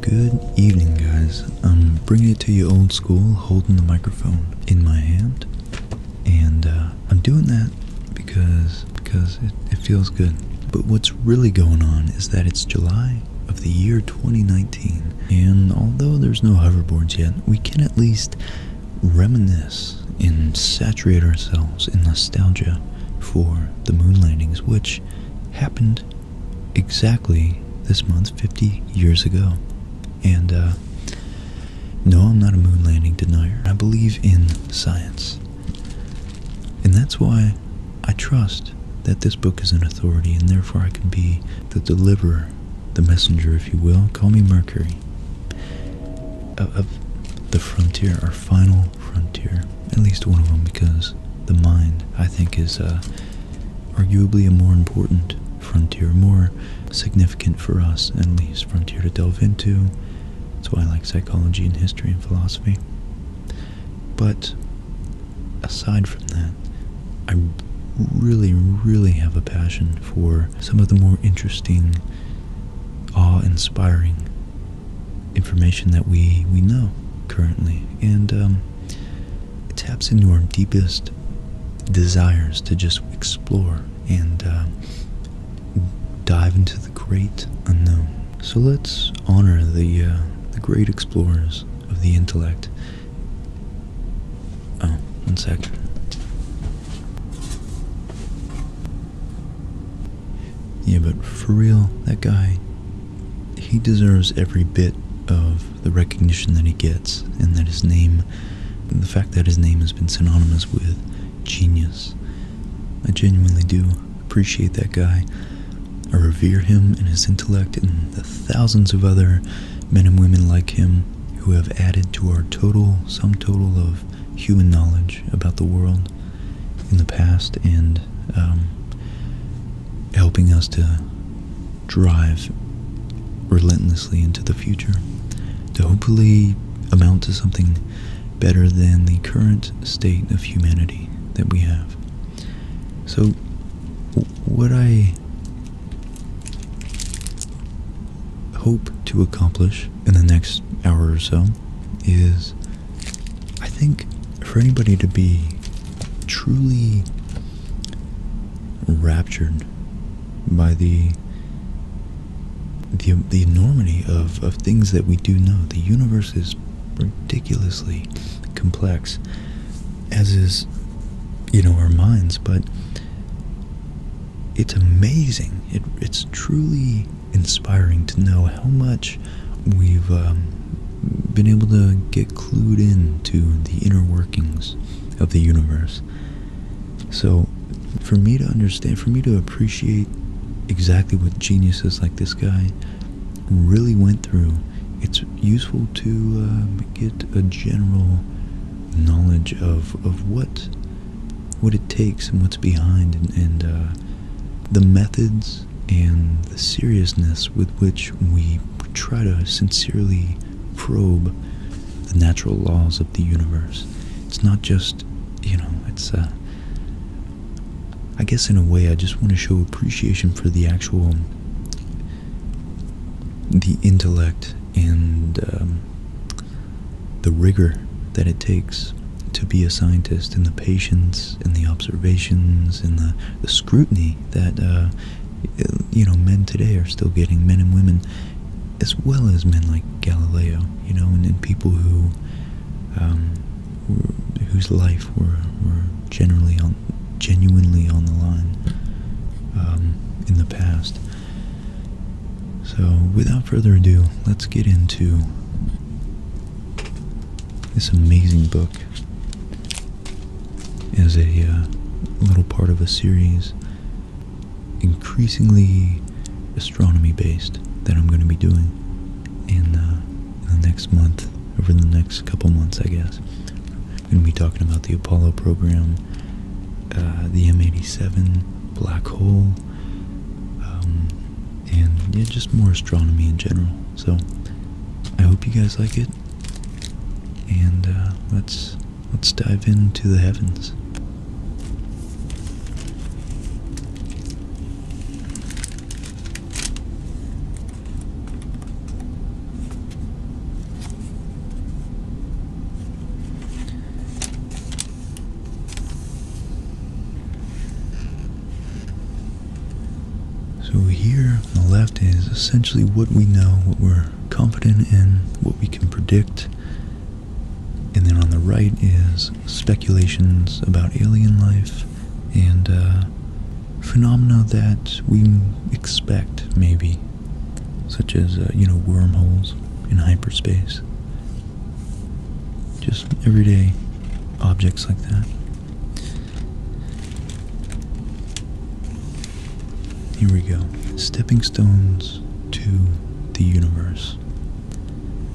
Good evening, guys. I'm bringing it to you old school, holding the microphone in my hand, and uh, I'm doing that because because it, it feels good. But what's really going on is that it's July of the year 2019, and although there's no hoverboards yet, we can at least reminisce and saturate ourselves in nostalgia for the moon landings, which happened exactly this month 50 years ago. And uh, no, I'm not a moon landing denier. I believe in science. And that's why I trust that this book is an authority and therefore I can be the deliverer the messenger, if you will. Call me Mercury. Of, the frontier, our final frontier. At least one of them, because the mind, I think, is uh, arguably a more important frontier, more significant for us, at least, frontier to delve into. That's why I like psychology and history and philosophy. But aside from that, I really, really have a passion for some of the more interesting, awe-inspiring information that we we know currently, and um, it taps into our deepest desires to just explore and uh, dive into the great unknown. So let's honor the uh, the great explorers of the intellect Oh, one Yeah, but for real, that guy, he deserves every bit of the recognition that he gets, and that his name, the fact that his name has been synonymous with genius. I genuinely do appreciate that guy. I revere him and his intellect and the thousands of other men and women like him who have added to our total sum total of human knowledge about the world in the past and um, helping us to drive relentlessly into the future to hopefully amount to something better than the current state of humanity that we have. So, what I hope to accomplish in the next hour or so is I think for anybody to be truly raptured by the the, enormity of, of things that we do know. The universe is ridiculously complex as is, you know, our minds, but it's amazing. It, it's truly inspiring to know how much we've um, been able to get clued in to the inner workings of the universe. So, for me to understand, for me to appreciate exactly what geniuses like this guy really went through, it's useful to uh, get a general knowledge of, of what what it takes and what's behind and, uh, the methods and the seriousness with which we try to sincerely probe the natural laws of the universe. It's not just, you know, it's, uh, I guess in a way I just want to show appreciation for the actual, the intellect and um, the rigor that it takes to be a scientist, and the patience, and the observations, and the, scrutiny that uh, you know men today are still getting, men and women, as well as men like Galileo, you know, and, people um, who whose life were, were generally on genuinely on the line um, in the past. So, without further ado, let's get into this amazing book as a uh, little part of a series increasingly astronomy based that I'm going to be doing uh, in the next month, over the next couple months, I guess going to be talking about the Apollo program, uh, the M87 black hole, um, and yeah, just more astronomy in general. So I hope you guys like it, and uh, let's let's dive into the heavens. So here on the left is essentially what we know, what we're confident in, what we can predict. And then on the right is speculations about alien life and uh, phenomena that we expect, maybe such as, uh, you know, wormholes in hyperspace. Just everyday objects like that. Here we go. Stepping stones to the universe.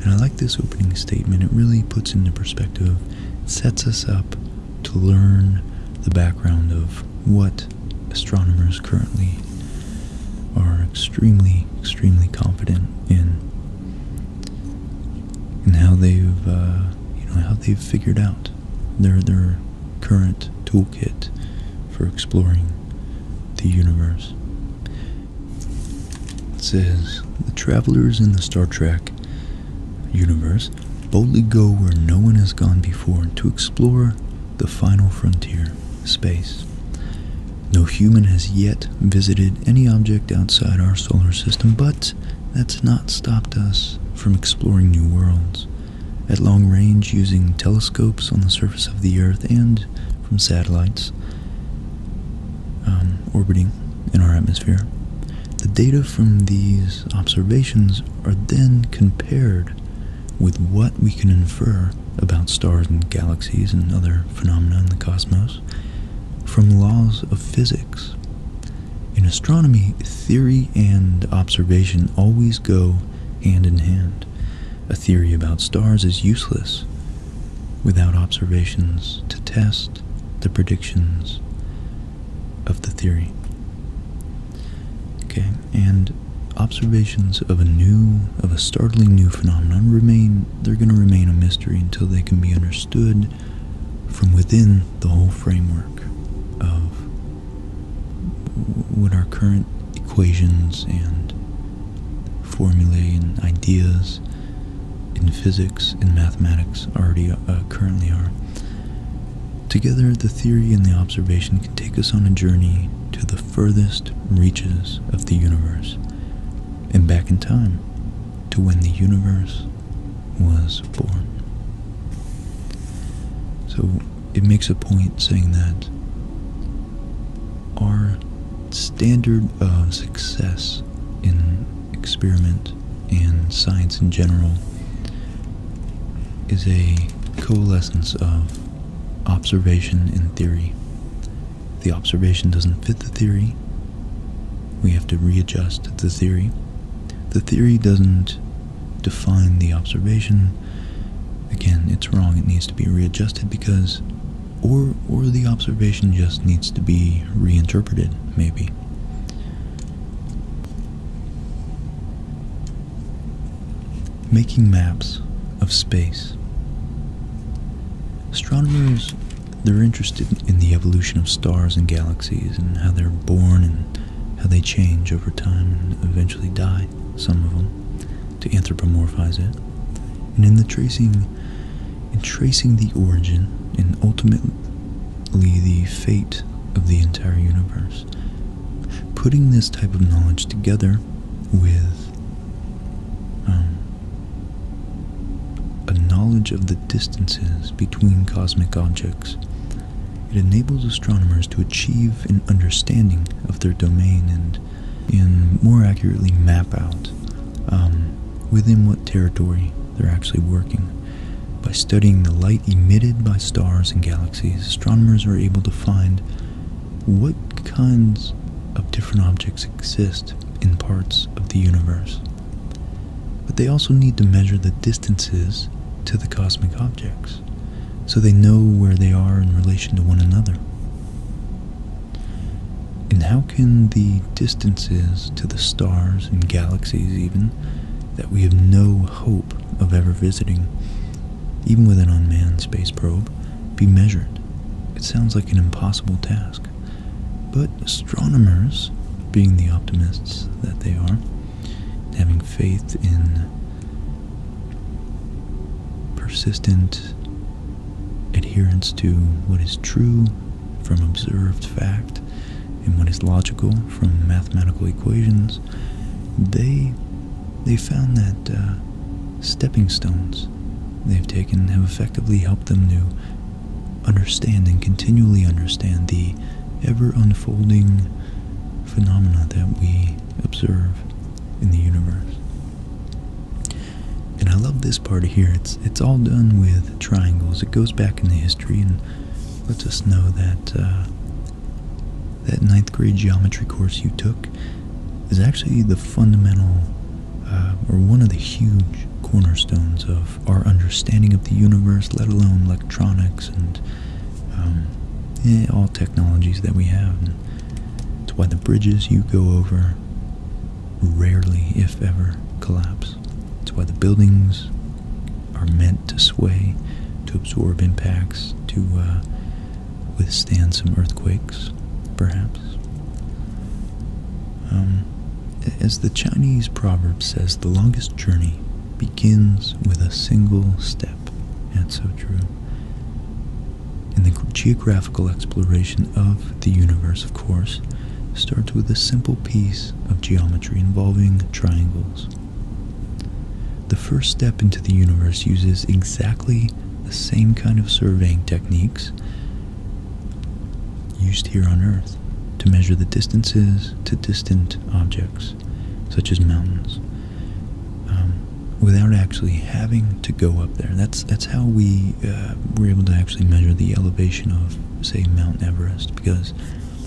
And I like this opening statement. It really puts into perspective, sets us up to learn the background of what astronomers currently are extremely, extremely confident in, and how they've, uh, you know, how they've figured out their their current toolkit for exploring the universe. It says the travelers in the Star Trek universe boldly go where no one has gone before to explore the final frontier, space. No human has yet visited any object outside our solar system, but that's not stopped us from exploring new worlds. At long range, using telescopes on the surface of the Earth and from satellites um, orbiting in our atmosphere, the data from these observations are then compared with what we can infer about stars and galaxies and other phenomena in the cosmos from laws of physics. In astronomy, theory and observation always go hand in hand. A theory about stars is useless without observations to test the predictions of the theory. Okay, and observations of a new, of a startling new phenomenon remain, they're going to remain a mystery until they can be understood from within the whole framework of what our current equations and formulae and ideas in physics and mathematics already uh, currently are. Together, the theory and the observation can take us on a journey to the furthest reaches of the universe and back in time to when the universe was born. So it makes a point saying that our standard of success in experiment and science in general is a coalescence of observation in theory. The observation doesn't fit the theory. We have to readjust the theory. The theory doesn't define the observation. Again, it's wrong. It needs to be readjusted because or or the observation just needs to be reinterpreted, maybe. Making maps of space. Astronomers, they're interested in the evolution of stars and galaxies and how they're born and how they change over time and eventually die, some of them, to anthropomorphize it. And in the tracing, in tracing the origin and ultimately the fate of the entire universe. Putting this type of knowledge together with um, a knowledge of the distances between cosmic objects, it enables astronomers to achieve an understanding of their domain and, and more accurately map out um, within what territory they're actually working. By studying the light emitted by stars and galaxies, astronomers are able to find what kinds of different objects exist in parts of the universe. But they also need to measure the distances to the cosmic objects so they know where they are in relation to one another. And how can the distances to the stars and galaxies, even that we have no hope of ever visiting, even with an unmanned space probe, be measured. It sounds like an impossible task. But astronomers, being the optimists that they are, having faith in persistent adherence to what is true from observed fact and what is logical from mathematical equations, they they found that uh, stepping stones they've taken have effectively helped them to understand and continually understand the ever unfolding phenomena that we observe in the universe. And I love this part here. It's it's all done with triangles. It goes back in the history and lets us know that uh, that ninth grade geometry course you took is actually the fundamental uh, or one of the huge cornerstones of our understanding of the universe, let alone electronics and um, all technologies that we have. it's why the bridges you go over rarely, if ever, collapse. It's why the buildings are meant to sway, to absorb impacts, to uh, withstand some earthquakes, perhaps. Um, as the Chinese proverb says, the longest journey begins with a single step. That's so true. And the geographical exploration of the universe, of course, starts with a simple piece of geometry involving triangles. The first step into the universe uses exactly the same kind of surveying techniques used here on Earth to measure the distances to distant objects, such as mountains, um, without actually having to go up there. That's that's how we uh, were able to actually measure the elevation of, say, Mount Everest, because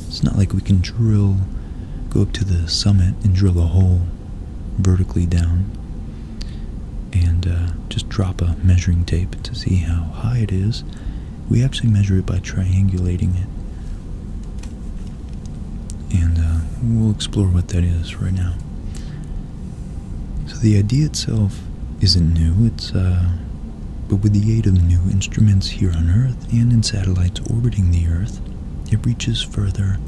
it's not like we can drill, go up to the summit and drill a hole vertically down and uh, just drop a measuring tape to see how high it is. We actually measure it by triangulating it. And uh, we'll explore what that is right now. So the idea itself isn't new. It's uh, but with the aid of new instruments here on Earth and in satellites orbiting the Earth, it reaches further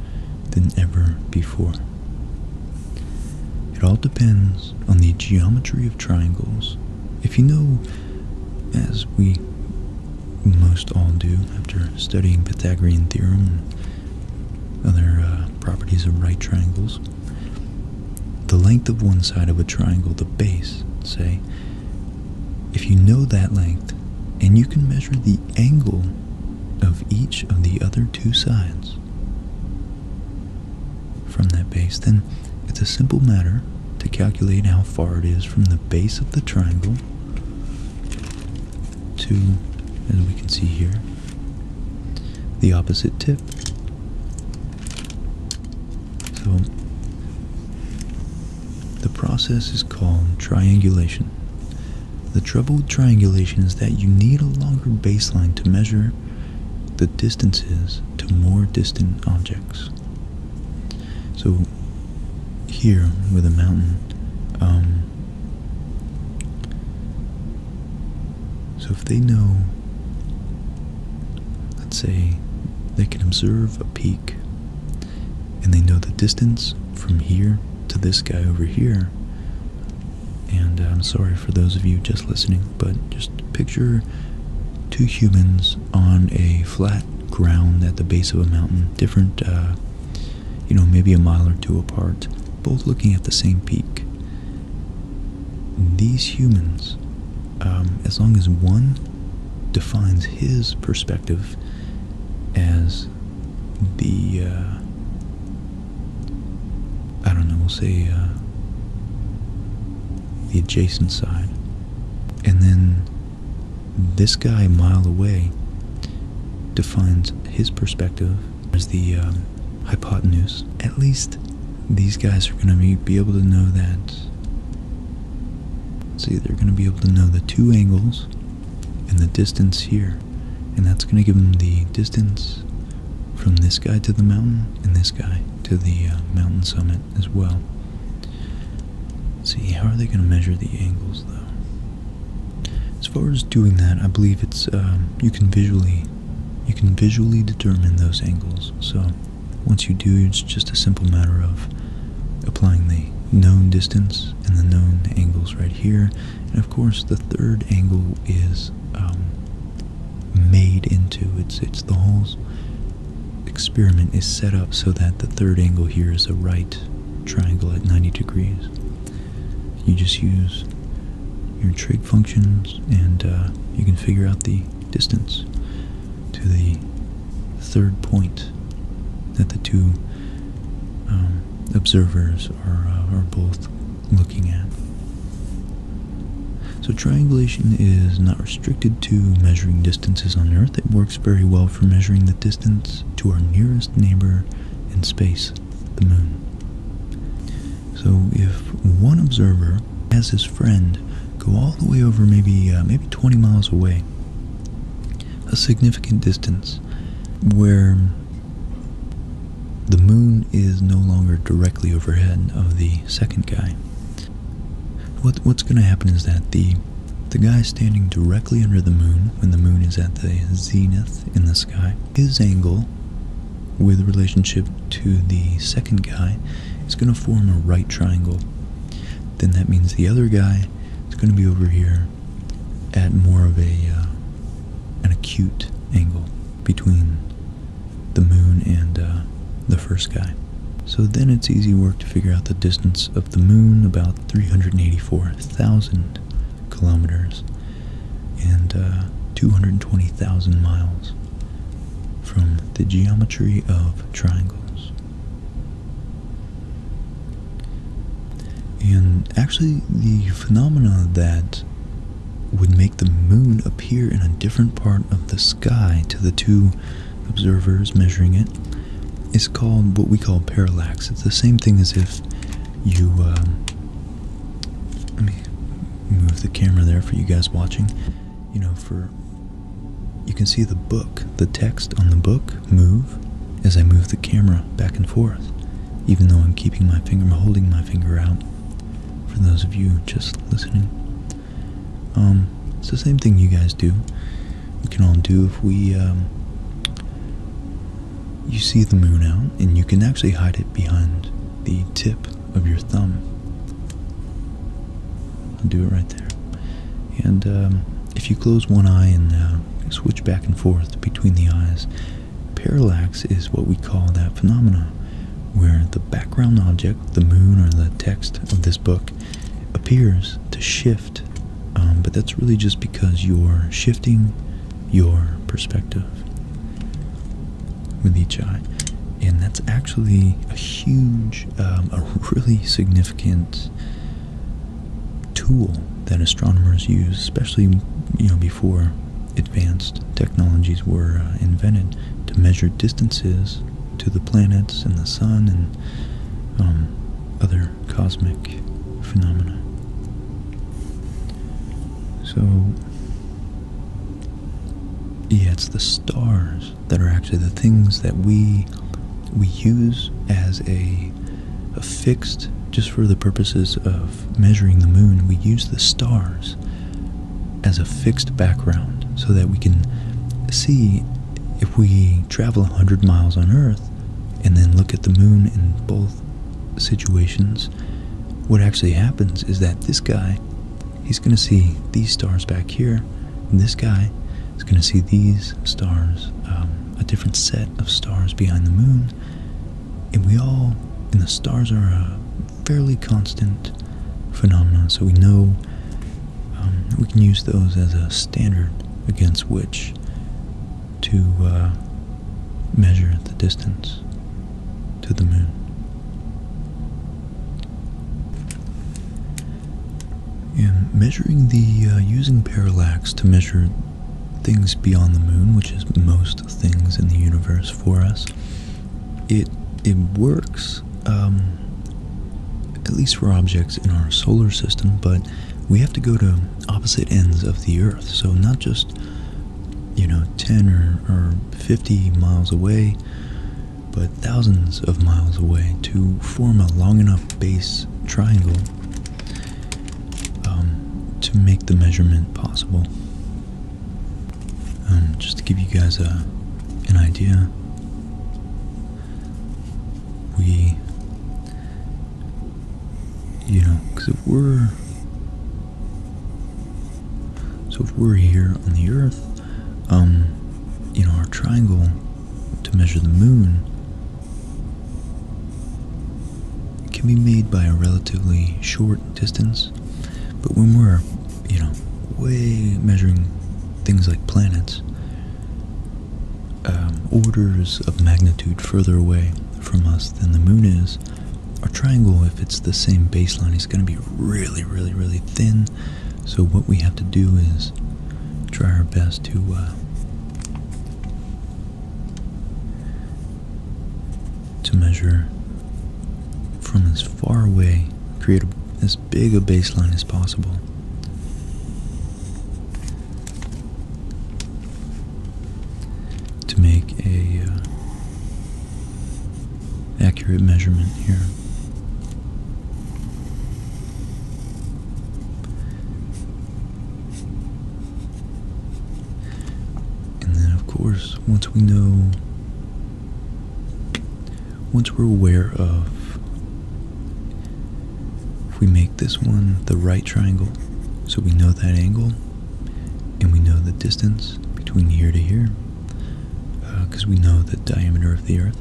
than ever before. It all depends on the geometry of triangles. If you know, as we most all do after studying Pythagorean theorem and other uh, properties of right triangles, the length of one side of a triangle, the base, say, if you know that length and you can measure the angle of each of the other two sides. From that base, then, it's a simple matter to calculate how far it is from the base of the triangle to, as we can see here, the opposite tip. So, the process is called triangulation, the trouble with triangulation is that you need a longer baseline to measure the distances to more distant objects. So here with a mountain, um, so if they know, let's say they can observe a peak and they know the distance from here to this guy over here. And I'm sorry for those of you just listening, but just picture two humans on a flat ground at the base of a mountain, different, uh, you know, maybe a mile or two apart, both looking at the same peak. These humans, um, as long as one defines his perspective as the uh, I don't know, we'll say uh, the adjacent side, and then this guy a mile away defines his perspective as the um, hypotenuse. At least these guys are going to be able to know that. See, they're going to be able to know the two angles and the distance here. And that's going to give them the distance from this guy to the mountain and this guy to the uh, mountain summit as well. see, how are they going to measure the angles though? As far as doing that, I believe it's um, you can visually you can visually determine those angles. So once you do, it's just a simple matter of applying the known distance angles and the known angles right here. And of course, the third angle is um, made into it's it's the whole experiment is set up so that the third angle here is a right triangle at 90 degrees. You just use your trig functions and uh, you can figure out the distance to the third point that the two um, observers are, uh, are both looking at. So triangulation is not restricted to measuring distances on Earth. It works very well for measuring the distance to our nearest neighbor in space, the moon. So if one observer has his friend go all the way over maybe uh, maybe 20 miles away, a significant distance, where the moon is no longer directly overhead of the second guy. what's going to happen is that the the guy standing directly under the moon, when the moon is at the zenith in the sky, his angle with relationship to the second guy is going to form a right triangle. Then that means the other guy is going to be over here at more of a uh, an acute angle between the moon and uh, the first guy. So then it's easy work to figure out the distance of the moon, about 384,000 kilometers and uh, 220,000 miles from the geometry of triangles. And actually, the phenomena that would make the moon appear in a different part of the sky to the two observers measuring it is called what we call parallax. It's the same thing as if you. Uh, let me move the camera there for you guys watching. You know, for. You can see the book, the text on the book move as I move the camera back and forth, even though I'm keeping my finger, I'm holding my finger out. For those of you just listening, um, it's the same thing you guys do. We can all do if we, um, you see the moon out, and you can actually hide it behind the tip of your thumb. I'll do it right there. And um, if you close one eye and uh, switch back and forth between the eyes, parallax is what we call that phenomenon, where the background object, the moon or the text of this book, appears to shift, um, but that's really just because you're shifting your perspective with each eye. And that's actually a huge, um, a really significant tool that astronomers use, especially you know before advanced technologies were uh, invented to measure distances to the planets and the sun and um, other cosmic phenomena. So, yeah, it's the stars that are actually the things that we we use as a affixed just for the purposes of measuring the moon, we use the stars as a fixed background so that we can see if we travel 100 miles on Earth and then look at the moon in both situations. What actually happens is that this guy, he's going to see these stars back here, this guy is going to see these stars, um, a different set of stars behind the moon and we all, and the stars are a fairly constant phenomenon, so we know um, we can use those as a standard against which to uh, measure the distance to the moon. And measuring the uh, using parallax to measure things beyond the moon, which is most things in the universe for us, it it works. Um, at least for objects in our solar system, but we have to go to opposite ends of the Earth. So not just you know 10 or 50 miles away, but thousands of miles away to form a long enough base triangle um, to make the measurement possible. Um, just to give you guys a an idea, we, you know, because if we're so if we're here on the Earth, um, you know, our triangle to measure the moon can be made by a relatively short distance, but when we're, you know, way measuring things like planets, um, orders of magnitude further away from us than the moon is, our triangle, if it's the same baseline, is going to be really, really, really thin. So what we have to do is try our best to uh, to measure from as far away, create as big a baseline as possible. To make a uh, accurate measurement here. And then, of course, once we know, once we're aware of, if we make this one the right triangle, so we know that angle and we know the distance between here to here, because uh, we know the diameter of the Earth,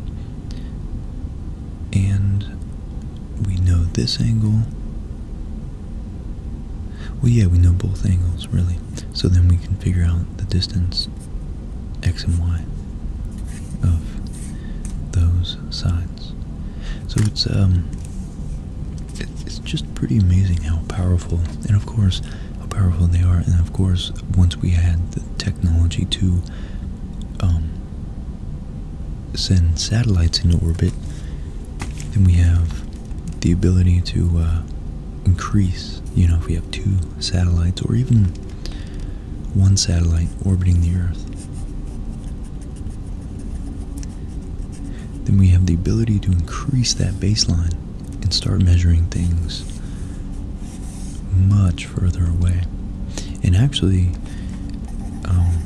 and we know this angle. Well, yeah, we know both angles, really. So then we can figure out the distance x and y of those sides. So it's um, it's just pretty amazing how powerful, and of course, how powerful they are. And of course, once we had the technology to um, send satellites into orbit, then we have the ability to uh, increase, you know, if we have two satellites or even one satellite orbiting the Earth. Then we have the ability to increase that baseline and start measuring things much further away. And actually, um,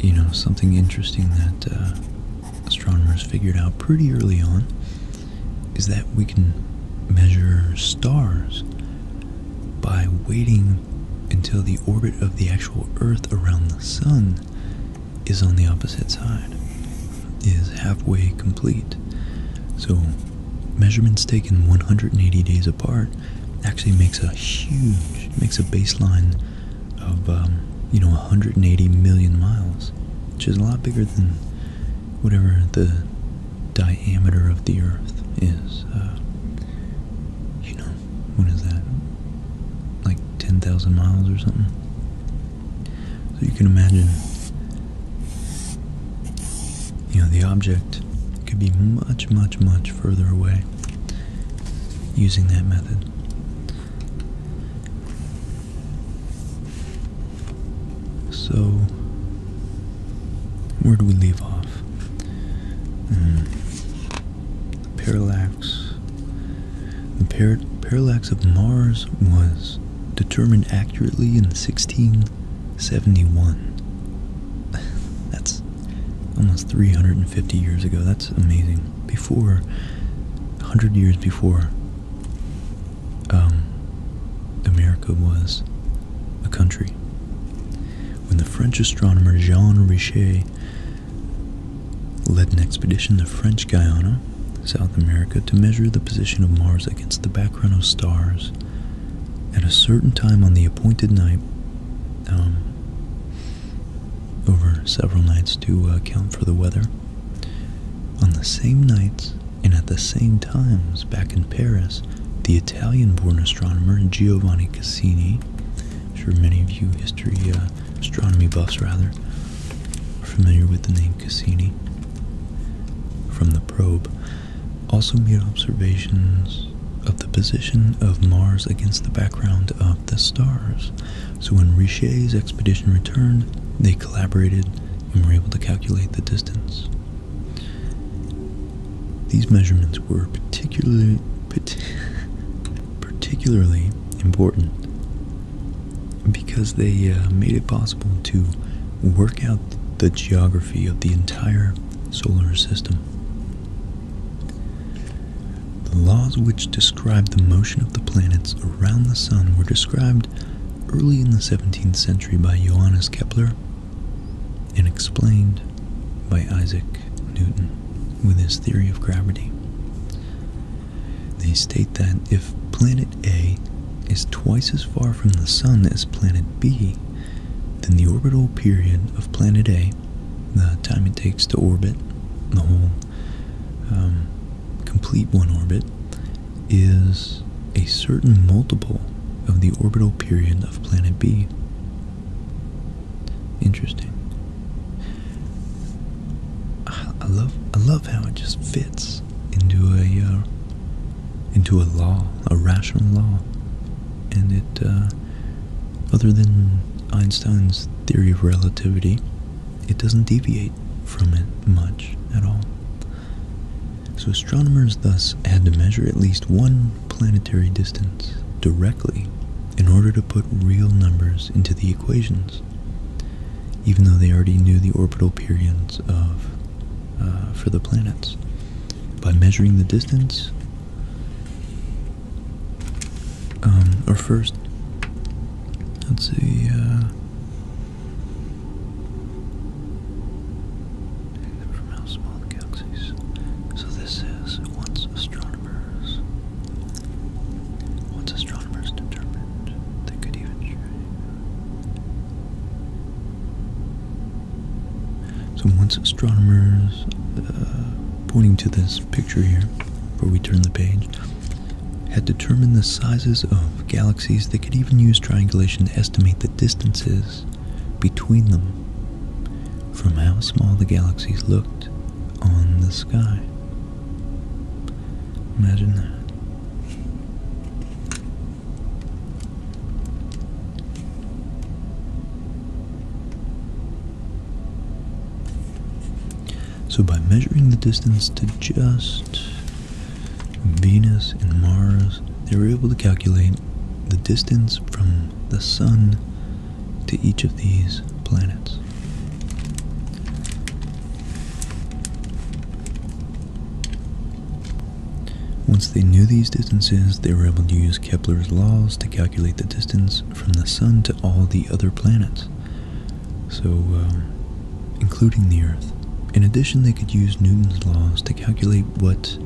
you know, something interesting that uh, astronomers figured out pretty early on is that we can measure stars by waiting until the orbit of the actual Earth around the Sun is on the opposite side, is halfway complete. So, measurements taken 180 days apart actually makes a huge, makes a baseline of, um, you know, 180 million miles, which is a lot bigger than whatever the diameter of the Earth is. Uh, you know, what is that? Like 10,000 miles or something? So you can imagine, you know, the object could be much, much, much further away using that method. So, where do we leave off? Mm. Parallax. The parallax of Mars was determined accurately in 1671. That's almost 350 years ago. That's amazing. Before, 100 years before, um, America was a country. When the French astronomer Jean Richet led an expedition to French Guiana, South America, to measure the position of Mars against the background of stars, at a certain time on the appointed night, um, over several nights to uh, account for the weather. On the same nights and at the same times back in Paris, the Italian-born astronomer Giovanni Cassini, sure many of you history uh, astronomy buffs rather, familiar with the name Cassini from the probe, also made observations of the position of Mars against the background of the stars. So when Richet's expedition returned, they collaborated and were able to calculate the distance. These measurements were particularly particularly important because they uh, made it possible to work out the geography of the entire solar system. The laws which describe the motion of the planets around the sun were described early in the 17th century by Johannes Kepler and explained by Isaac Newton with his theory of gravity. They state that if planet A is twice as far from the sun as planet B, then the orbital period of planet A the time it takes to orbit, the whole um, complete one orbit, is a certain multiple of the orbital period of planet B. Interesting. I love I love how it just fits into a uh, into a law, a rational law, and it uh, other than Einstein's theory of relativity, it doesn't deviate from it much at all. So astronomers thus had to measure at least one planetary distance directly in order to put real numbers into the equations, even though they already knew the orbital periods of uh, for the planets. By measuring the distance, um, or first, let's see, uh, So this is once astronomers, once astronomers determined that could even show. So once astronomers. Uh, pointing to this picture here before we turn the page, had determined the sizes of galaxies they could even use triangulation to estimate the distances between them from how small the galaxies looked on the sky. Imagine that. So by measuring the distance to just Venus and Mars, they were able to calculate the distance from the Sun to each of these planets. Once they knew these distances, they were able to use Kepler's laws to calculate the distance from the sun to all the other planets, so um, including the Earth. In addition, they could use Newton's laws to calculate what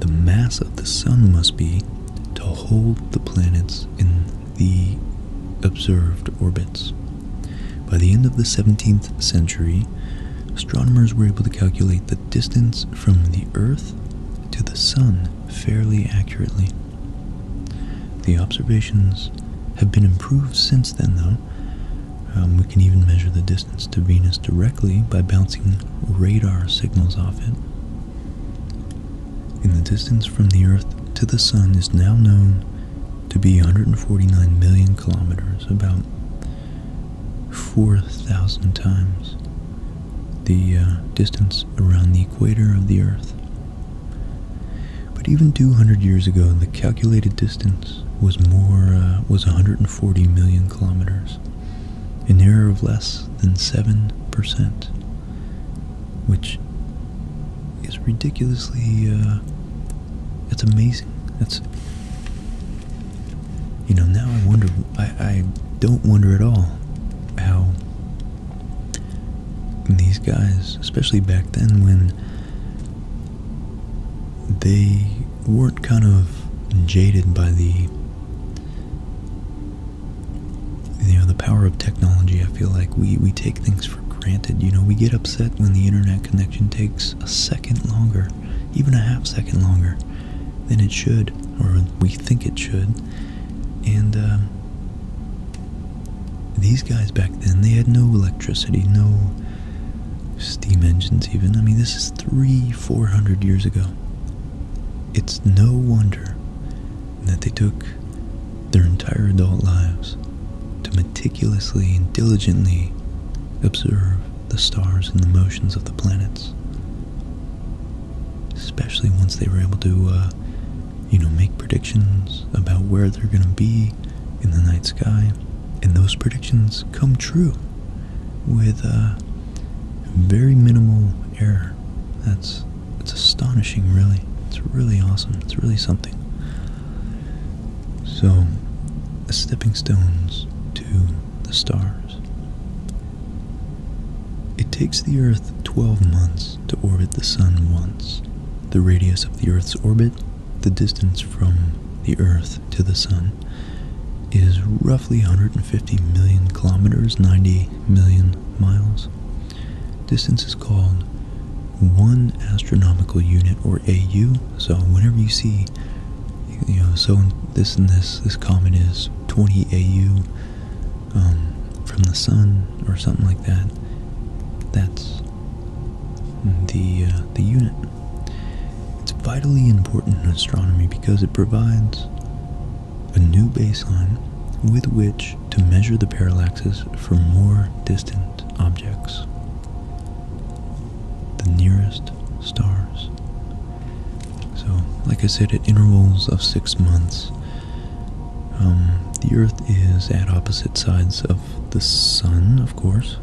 the mass of the sun must be to hold the planets in the observed orbits. By the end of the 17th century, astronomers were able to calculate the distance from the Earth to the Sun fairly accurately. The observations have been improved since then, though. Um, we can even measure the distance to Venus directly by bouncing radar signals off it. the distance from the Earth to the Sun is now known to be 149 million kilometers, about 4,000 times the uh, distance around the equator of the Earth. But even 200 years ago, the calculated distance was more uh, was 140 million kilometers, an error of less than seven percent, which is ridiculously. Uh, it's amazing. That's you know now I wonder I, I don't wonder at all how and these guys, especially back then when they weren't kind of jaded by the you know the power of technology i feel like we we take things for granted you know we get upset when the internet connection takes a second longer even a half second longer than it should or we think it should and um, these guys back then, they had no electricity, no steam engines even. I mean, this is three, four hundred years ago. It's no wonder that they took their entire adult lives to meticulously and diligently observe the stars and the motions of the planets especially once they were able to, uh, you know, make predictions about where they're going to be in the night sky, and those predictions come true with uh, very minimal error. That's it's astonishing, really. It's really awesome. It's really something. So, the stepping stones to the stars. It takes the Earth 12 months to orbit the Sun once. The radius of the Earth's orbit, the distance from the Earth to the Sun, is roughly 150 million kilometers, 90 million miles. Distance is called one astronomical unit or AU. So whenever you see, you know, so this and this, this comet is 20 AU, um, from the sun or something like that. That's the uh, the unit. It's vitally important in astronomy because it provides a new baseline with which to measure the parallaxes for more distant objects. The nearest stars. So, like I said, at intervals of six months, um, the Earth is at opposite sides of the Sun, of course.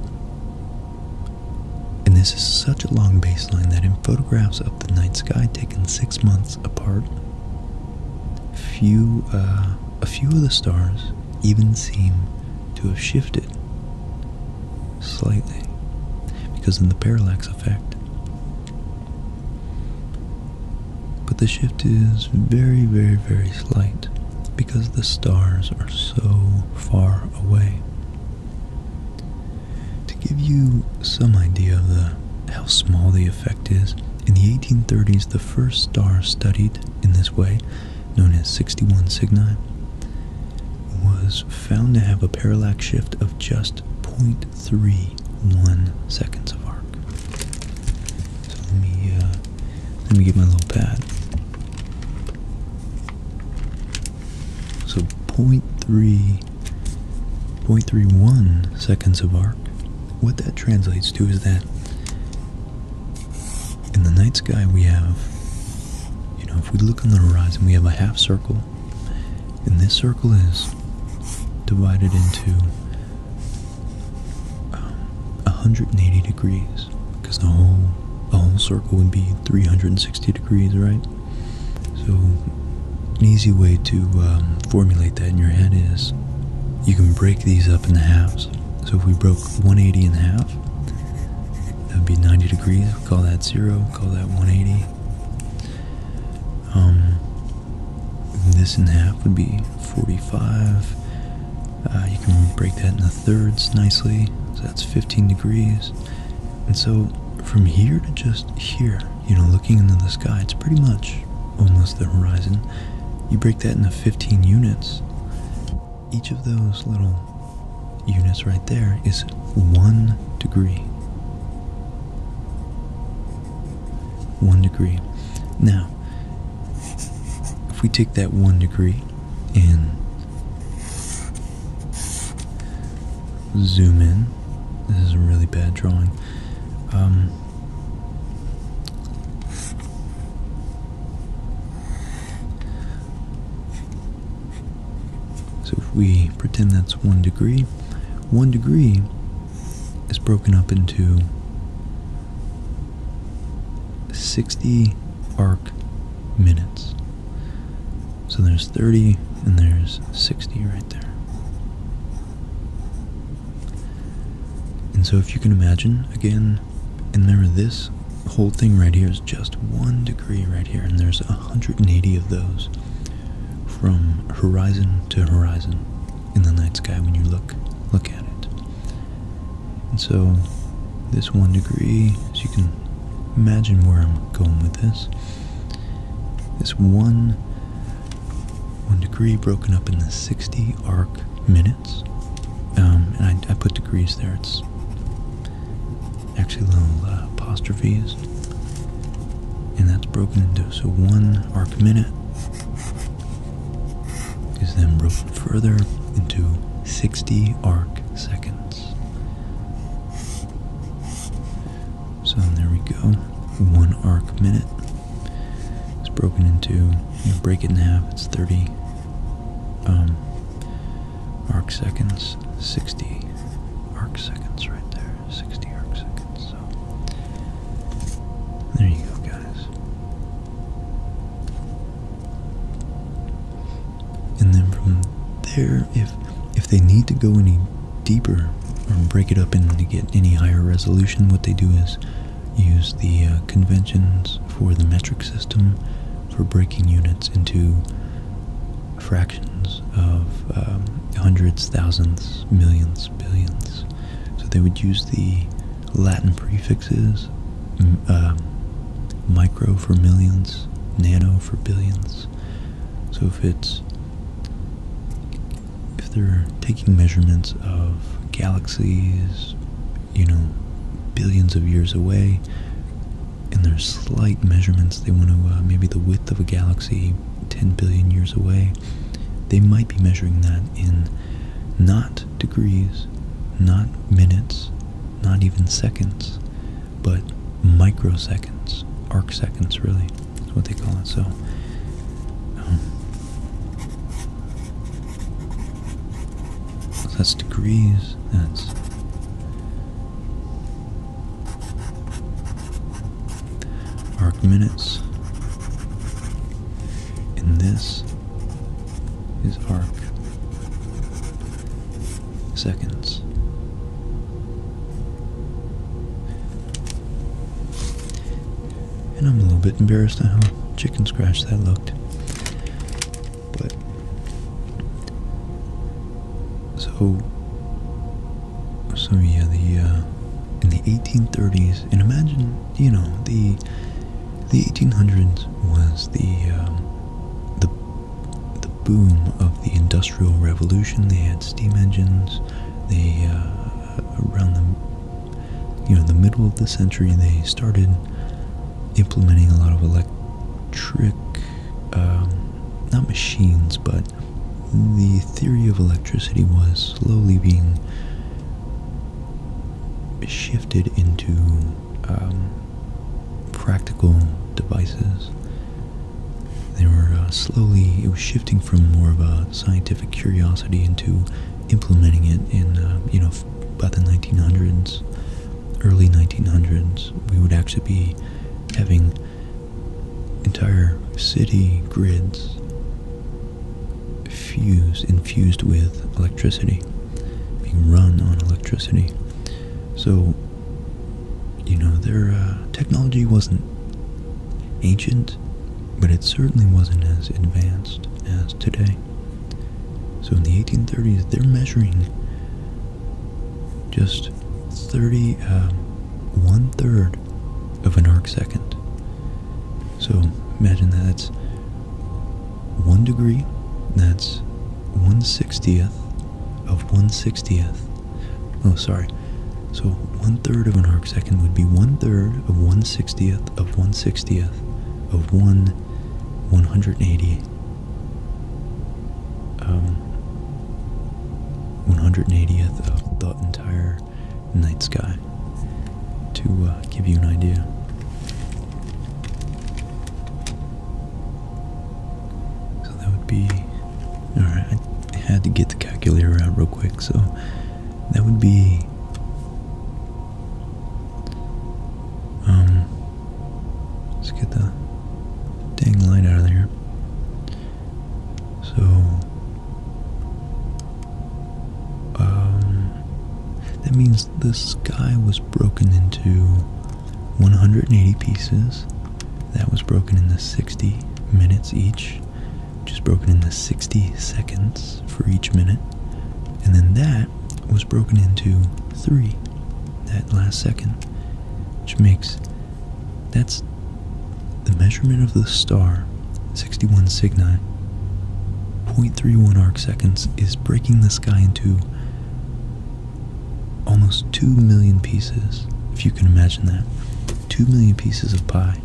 And this is such a long baseline that in photographs of the night sky taken six months apart, few uh, a few of the stars even seem to have shifted slightly because of the parallax effect. But the shift is very, very, very slight because the stars are so far away. To give you some idea of the, how small the effect is, in the 1830s, the first star studied in this way, known as 61 Cygni, was found to have a parallax shift of just point. Three one seconds of arc. So let me uh, let me get my little pad. So 0 0.3 0.31 seconds of arc. What that translates to is that in the night sky we have you know if we look on the horizon we have a half circle and this circle is divided into 180 um, degrees because the whole the whole circle would be 360 degrees, right? So an easy way to um, formulate that in your head is you can break these up in halves. So if we broke 180 in half, that would be 90 degrees. Call that zero. Call that 180. Um, this in half would be 45. Uh, you can break that into thirds nicely, so that's 15 degrees. And so from here to just here, you know, looking into the sky, it's pretty much almost the horizon. You break that into 15 units. Each of those little units right there is one degree one degree. Now, if we take that one degree and zoom in, this is a really bad drawing. Um, so if we pretend that's one degree, one degree is broken up into 60 arc minutes. So there's 30 and there's 60 right there. And so if you can imagine, again, and remember this whole thing right here is just one degree right here, and there's 180 of those from horizon to horizon in the night sky when you look look at it. And so this one degree, as you can imagine where I'm going with this, this one one degree broken up into 60 arc minutes. Um, and I, I, put degrees there. It's actually little uh, apostrophes and that's broken into so one arc minute is then broken further into 60 arc seconds. So there we go. One arc minute is broken into, you break it in half, it's 30 um, arc seconds, 60 arc seconds right there. 60 arc seconds. So there you go, guys. And then from there, if if they need to go any deeper or break it up and get any higher resolution, what they do is use the uh, conventions for the metric system for breaking units into fractions of um, hundreds, thousands, millions, billions, so they would use the Latin prefixes, um, micro for millions, nano for billions. So if it's if they're taking measurements of galaxies, you know, billions of years away, and there's slight measurements they want to uh, maybe the width of a galaxy 10 billion years away, they might be measuring that in not degrees, not minutes, not even seconds, but microseconds, arc seconds, really, is what they call it. So, so um, that's degrees, that's arc minutes and this is arc seconds and I'm a little bit embarrassed how chicken scratch that looked but so so yeah, the uh, in the 1830s, and imagine you know the the 1800s was the um, the the boom of the industrial revolution. They had steam engines. They uh, around the you know the middle of the century they started implementing a lot of electric um, not machines but the theory of electricity was slowly being shifted into um, practical devices. They were uh, slowly, it was shifting from more of a scientific curiosity into implementing it in, uh, you know, by the 1900s, early 1900s, we would actually be having entire city grids fuse infused with electricity, being run on electricity. So, you know, their uh, technology wasn't ancient, but it certainly wasn't as advanced as today. So in the 1830s, they're measuring just 30, uh, of an arc second. So imagine that's one degree, that's one sixtieth of one sixtieth. Oh, sorry. So one third of an arc second would be one third of one sixtieth of one sixtieth of one one hundred eighty. Um, 180th of the entire night sky to uh, give you an idea. So that would be. Alright, I had to get the calculator out real quick, so that would be. Um, let's get the dang light out of there. So um, that means the sky was broken into 180 pieces. That was broken into 60 minutes each, which is broken into 60 seconds for each minute. And then that was broken into three, that last second, which makes that's the measurement of the star, 61 Cygni. 0.31 arc seconds is breaking the sky into almost 2 million pieces, if you can imagine that. 2 million pieces of pie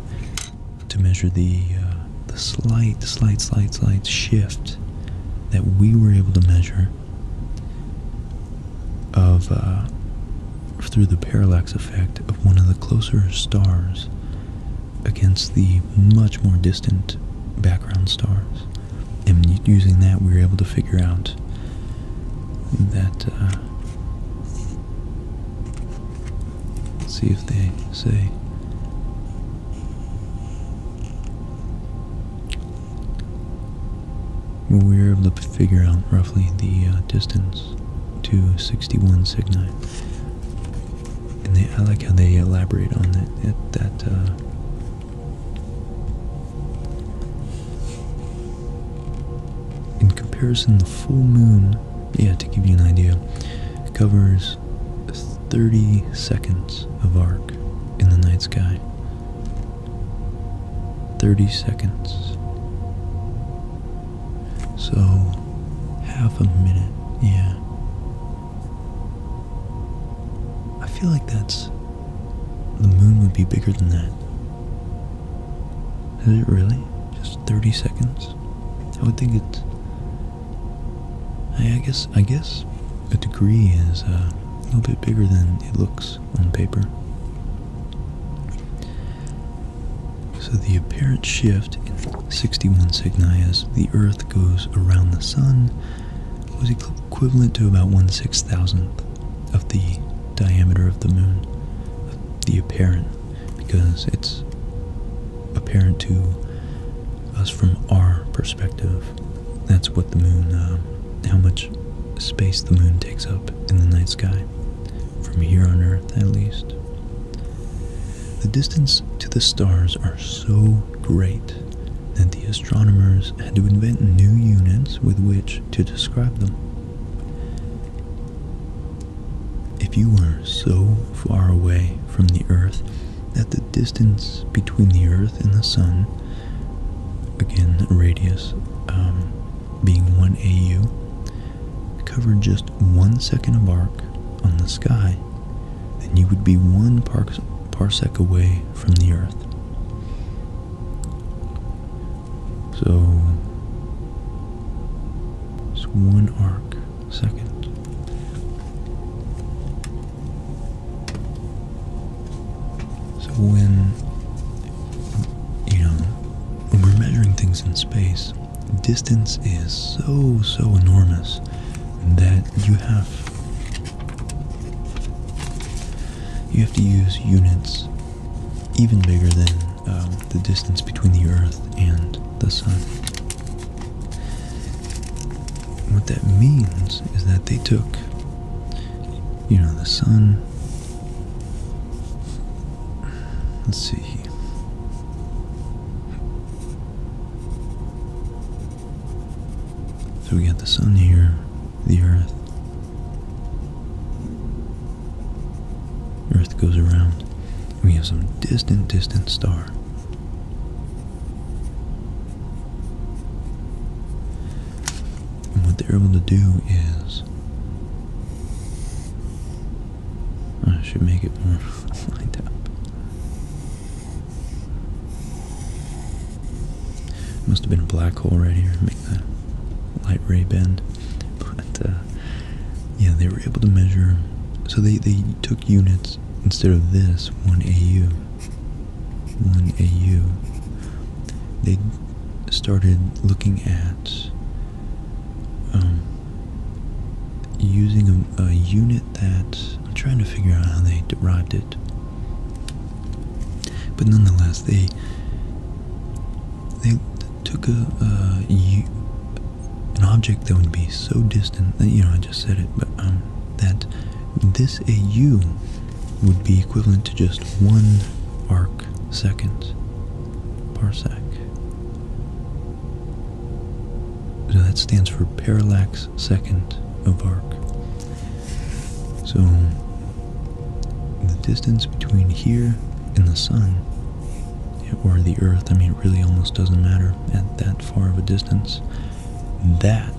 to measure the, uh, the slight, slight, slight, slight shift that we were able to measure of uh, through the parallax effect of one of the closer stars against the much more distant background stars. And using that, we were able to figure out that. Uh, see if they say. We were able to figure out roughly the uh, distance Cyrus to 61 Cygni. And they, I like how they elaborate on that, that, uh, in comparison, the full moon, yeah, to give you an idea, covers 30 seconds of arc in the night sky. 30 seconds. So, half a minute, yeah. I feel like that's. The moon would be bigger than that. Is it really? Just 30 seconds? I would think it's. I guess, I guess a degree is uh, a little bit bigger than it looks on paper. So the apparent shift in 61 Cygni as the Earth goes around the Sun was equivalent to about 1 6 thousandth of the diameter of the Moon, the apparent, because it's apparent to us from our perspective. That's what the Moon, um, how much space the Moon takes up in the night sky from here on Earth at least. The distance to the stars are so great that the astronomers had to invent new units with which to describe them. If you were so far away from the Earth that the distance between the Earth and the Sun, again radius um, being 1 AU, covered just one second of arc on the sky, then you would be one parsec away from the Earth. So, it's one arc second. So when, you know, when we're measuring things in space, distance is so, so enormous that you have you have to use units even bigger than um, the distance between the Earth and the Sun. What that means is that they took, you know, the Sun. Let's see. So we got the sun here, the earth. Earth goes around. We have some distant, distant star. And what they're able to do is I should make it more lined up. Must have been a black hole right here to make that light ray bend. But uh, yeah, they were able to measure. So they, they took units instead of this, 1 AU. 1 AU. They started looking at um, using a, unit that I'm trying to figure out how they derived it. But nonetheless, they they took a, an object that would be so distant that you know I just said it, but um, that this AU would be equivalent to just one arc second parsec. So uh, that stands for parallax second of arc. So the distance between here and the sun, or the earth, I mean, it really almost doesn't matter at that far of a distance. That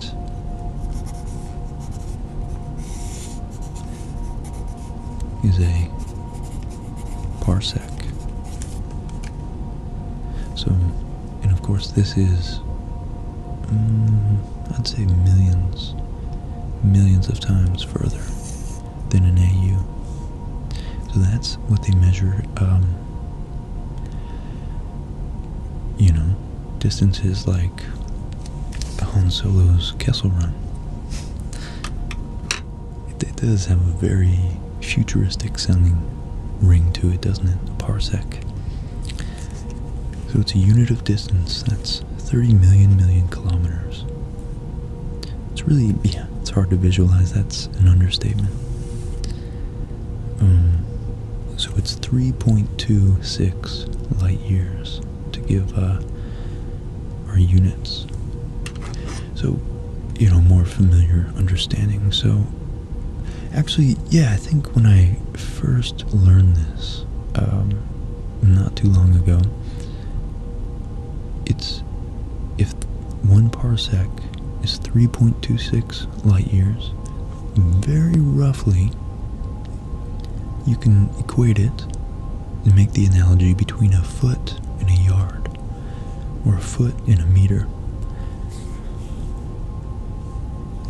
is a parsec. So, and of course, this is, mm, I'd say, millions, millions of times further than an AU. So that's what they measure, um, you know, distances like Han Solo's Kessel Run. It, does have a very futuristic sounding ring to it, doesn't it? A parsec. So it's a unit of distance. That's 30 million million kilometers. It's really, yeah, it's hard to visualize. That's an understatement. Um, so it's 3.26 light years to give uh, our units so you know more familiar understanding so actually yeah i think when i first learned this um, not too long ago it's if one parsec is 3.26 light years very roughly you can equate it and make the analogy between a foot and a yard or a foot in a meter.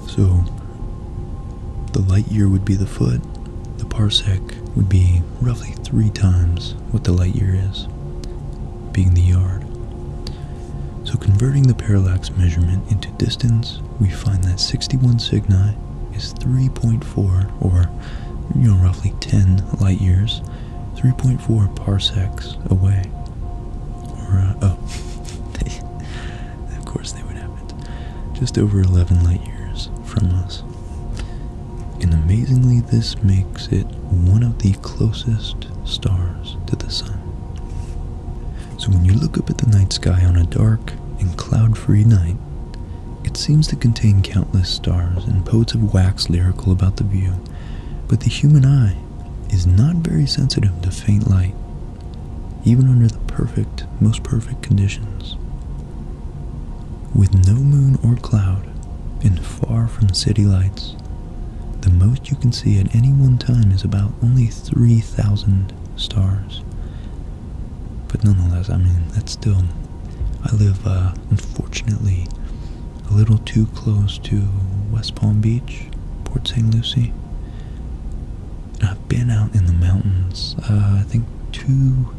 So the light year would be the foot, the parsec would be roughly three times what the light year is, being the yard. So converting the parallax measurement into distance, we find that 61 signi is 3.4 or you know roughly 10 light years 3.4 parsecs away. Or, uh, oh, of course they would have Just over 11 light years from us. And amazingly, this makes it one of the closest stars to the sun. So when you look up at the night sky on a dark and cloud-free night, it seems to contain countless stars, and poets have waxed lyrical about the view but the human eye is not very sensitive to faint light, even under the perfect, most perfect conditions. With no moon or cloud, and far from city lights, the most you can see at any one time is about only 3,000 stars. But nonetheless, I mean, that's still, I live, uh, unfortunately, a little too close to West Palm Beach, Port St. Lucie. I've been out in the mountains, uh, I think two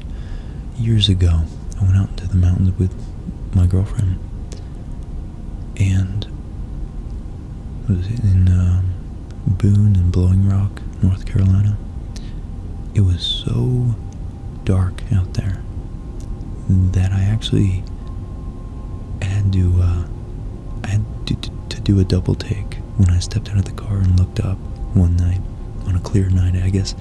years ago. I went out into the mountains with my girlfriend, and it was in um, Boone and Blowing Rock, North Carolina. It was so dark out there that I actually had to uh, had to, to, do a double take when I stepped out of the car and looked up one night on a clear night. I guess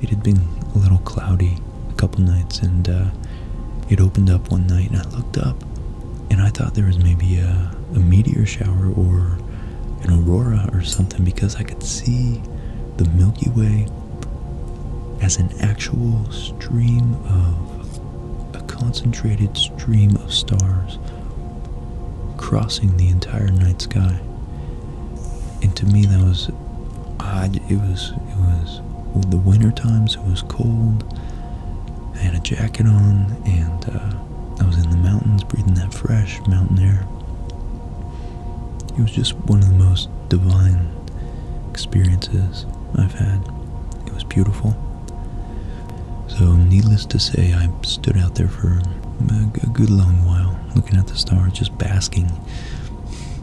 it had been a little cloudy a couple nights, and uh, it opened up one night, and I looked up, and I thought there was maybe a, a meteor shower or an aurora or something because I could see the Milky Way as an actual stream of, a concentrated stream of stars crossing the entire night sky. And to me, that was odd. It was, it was the winter times, it was cold. I had a jacket on, and uh, I was in the mountains breathing that fresh mountain air. It was just one of the most divine experiences I've had. It was beautiful. So, needless to say, I stood out there for a good long while looking at the stars, just basking,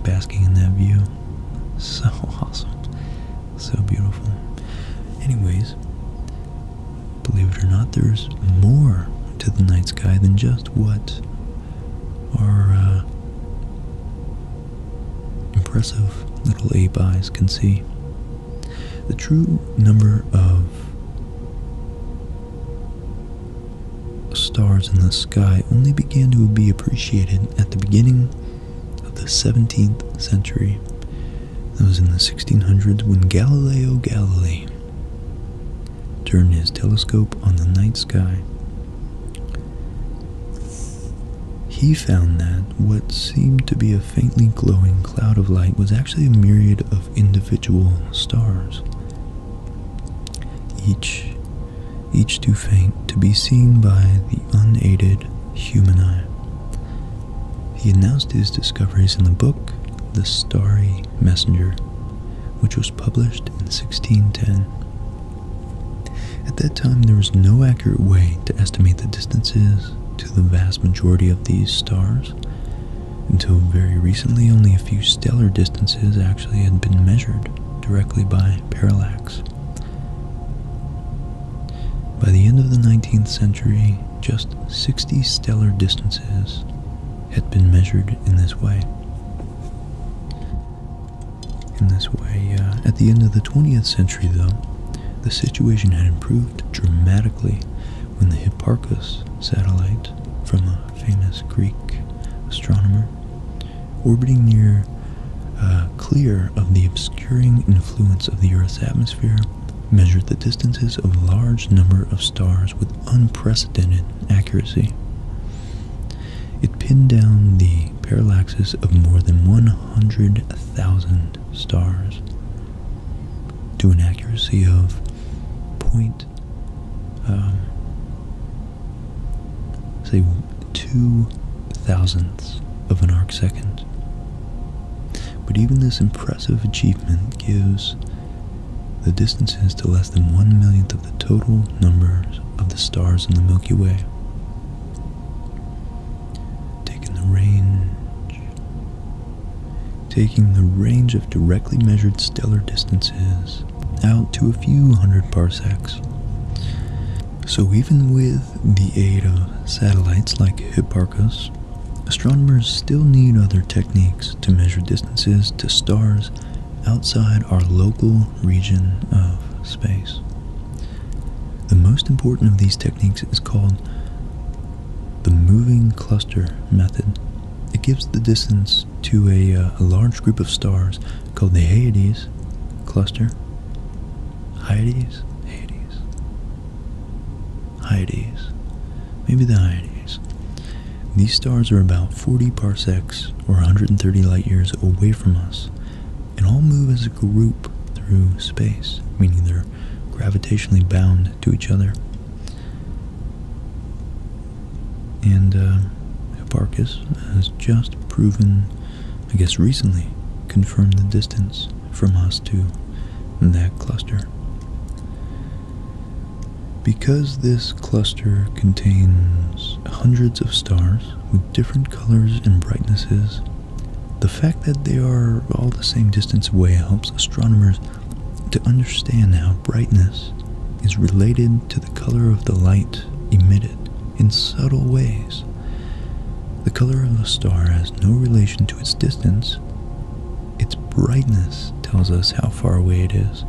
basking in that view. So awesome. So beautiful. Anyways, believe it or not, there's more to the night sky than just what our uh, impressive little ape eyes can see. The true number of stars in the sky only began to be appreciated at the beginning of the 17th century. That was in the 1600s when Galileo Galilei turned his telescope on the night sky he found that what seemed to be a faintly glowing cloud of light was actually a myriad of individual stars, each, each too faint to be seen by the unaided human eye. He announced his discoveries in the book The Starry Messenger, which was published in 1610. At that time, there was no accurate way to estimate the distances to the vast majority of these stars. Until very recently, only a few stellar distances actually had been measured directly by parallax. By the end of the 19th century, just 60 stellar distances had been measured in this way. In this way, uh, at the end of the 20th century, though, the situation had improved dramatically when the Hipparchus satellite from a famous Greek astronomer orbiting near uh, clear of the obscuring influence of the Earth's atmosphere measured the distances of a large number of stars with unprecedented accuracy. It pinned down the parallaxes of more than 100,000 stars to an accuracy of point, um, say, two thousandths of an arc second. But even this impressive achievement gives the distances to less than one millionth of the total number of the stars in the Milky Way. Taking the range, taking the range of directly measured stellar distances out to a few hundred parsecs. So even with the aid of satellites like Hipparcos, astronomers still need other techniques to measure distances to stars outside our local region of space. The most important of these techniques is called the moving cluster method. It gives the distance to a uh, large group of stars called the Hyades cluster. Hyades? Hyades. Hyades. Maybe the Hyades. These stars are about 40 parsecs or 130 light years away from us and all move as a group through space, meaning they're gravitationally bound to each other. And uh, Hipparchus has just proven, I guess recently, confirmed the distance from us to that cluster. Because this cluster contains hundreds of stars, with different colors and brightnesses. The fact that they are all the same distance away helps astronomers to understand how brightness is related to the color of the light emitted in subtle ways. The color of a star has no relation to its distance. Its brightness tells us how far away it is.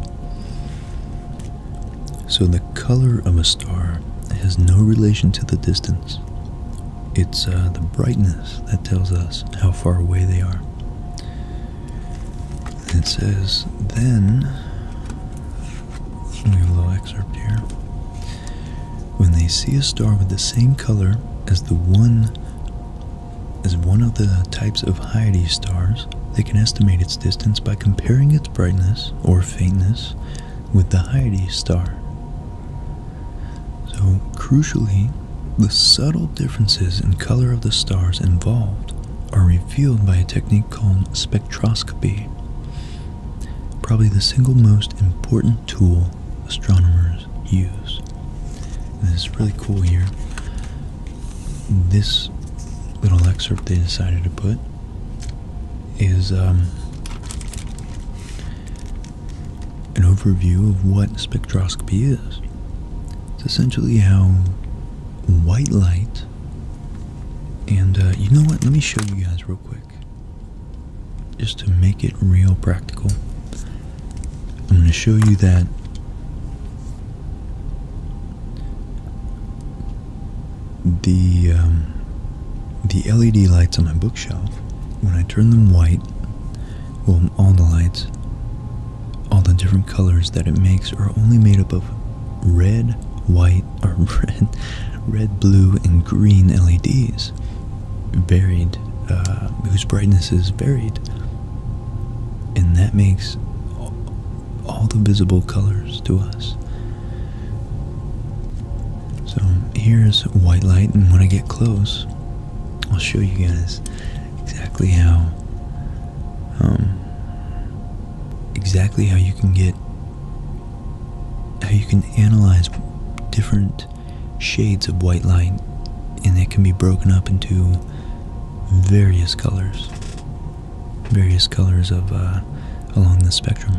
So the color of a star has no relation to the distance. It's uh, the brightness that tells us how far away they are. it says, then, a little excerpt here. When they see a star with the same color as the one as one of the types of Hyades stars, they can estimate its distance by comparing its brightness or Faintness with the Hyades star. So, crucially, the subtle differences in color of the stars involved are revealed by a technique called spectroscopy, probably the single most important tool astronomers use. This is really cool here. This little excerpt they decided to put is um, an overview of what spectroscopy is. It's essentially how white light, and uh, you know what? Let me show you guys real quick, just to make it real practical. I'm going to show you that the um, the LED lights on my bookshelf, when I turn them white, well, all the lights, all the different colors that it makes are only made up of red, white, or red, red, blue, and green LEDs, varied, uh, whose brightness is varied, and that makes all the visible colors to us. So here's white light, and when I get close, I'll show you guys exactly how um, exactly how you can get how you can analyze different shades of white light and they can be broken up into various colors various colors of uh, along the spectrum.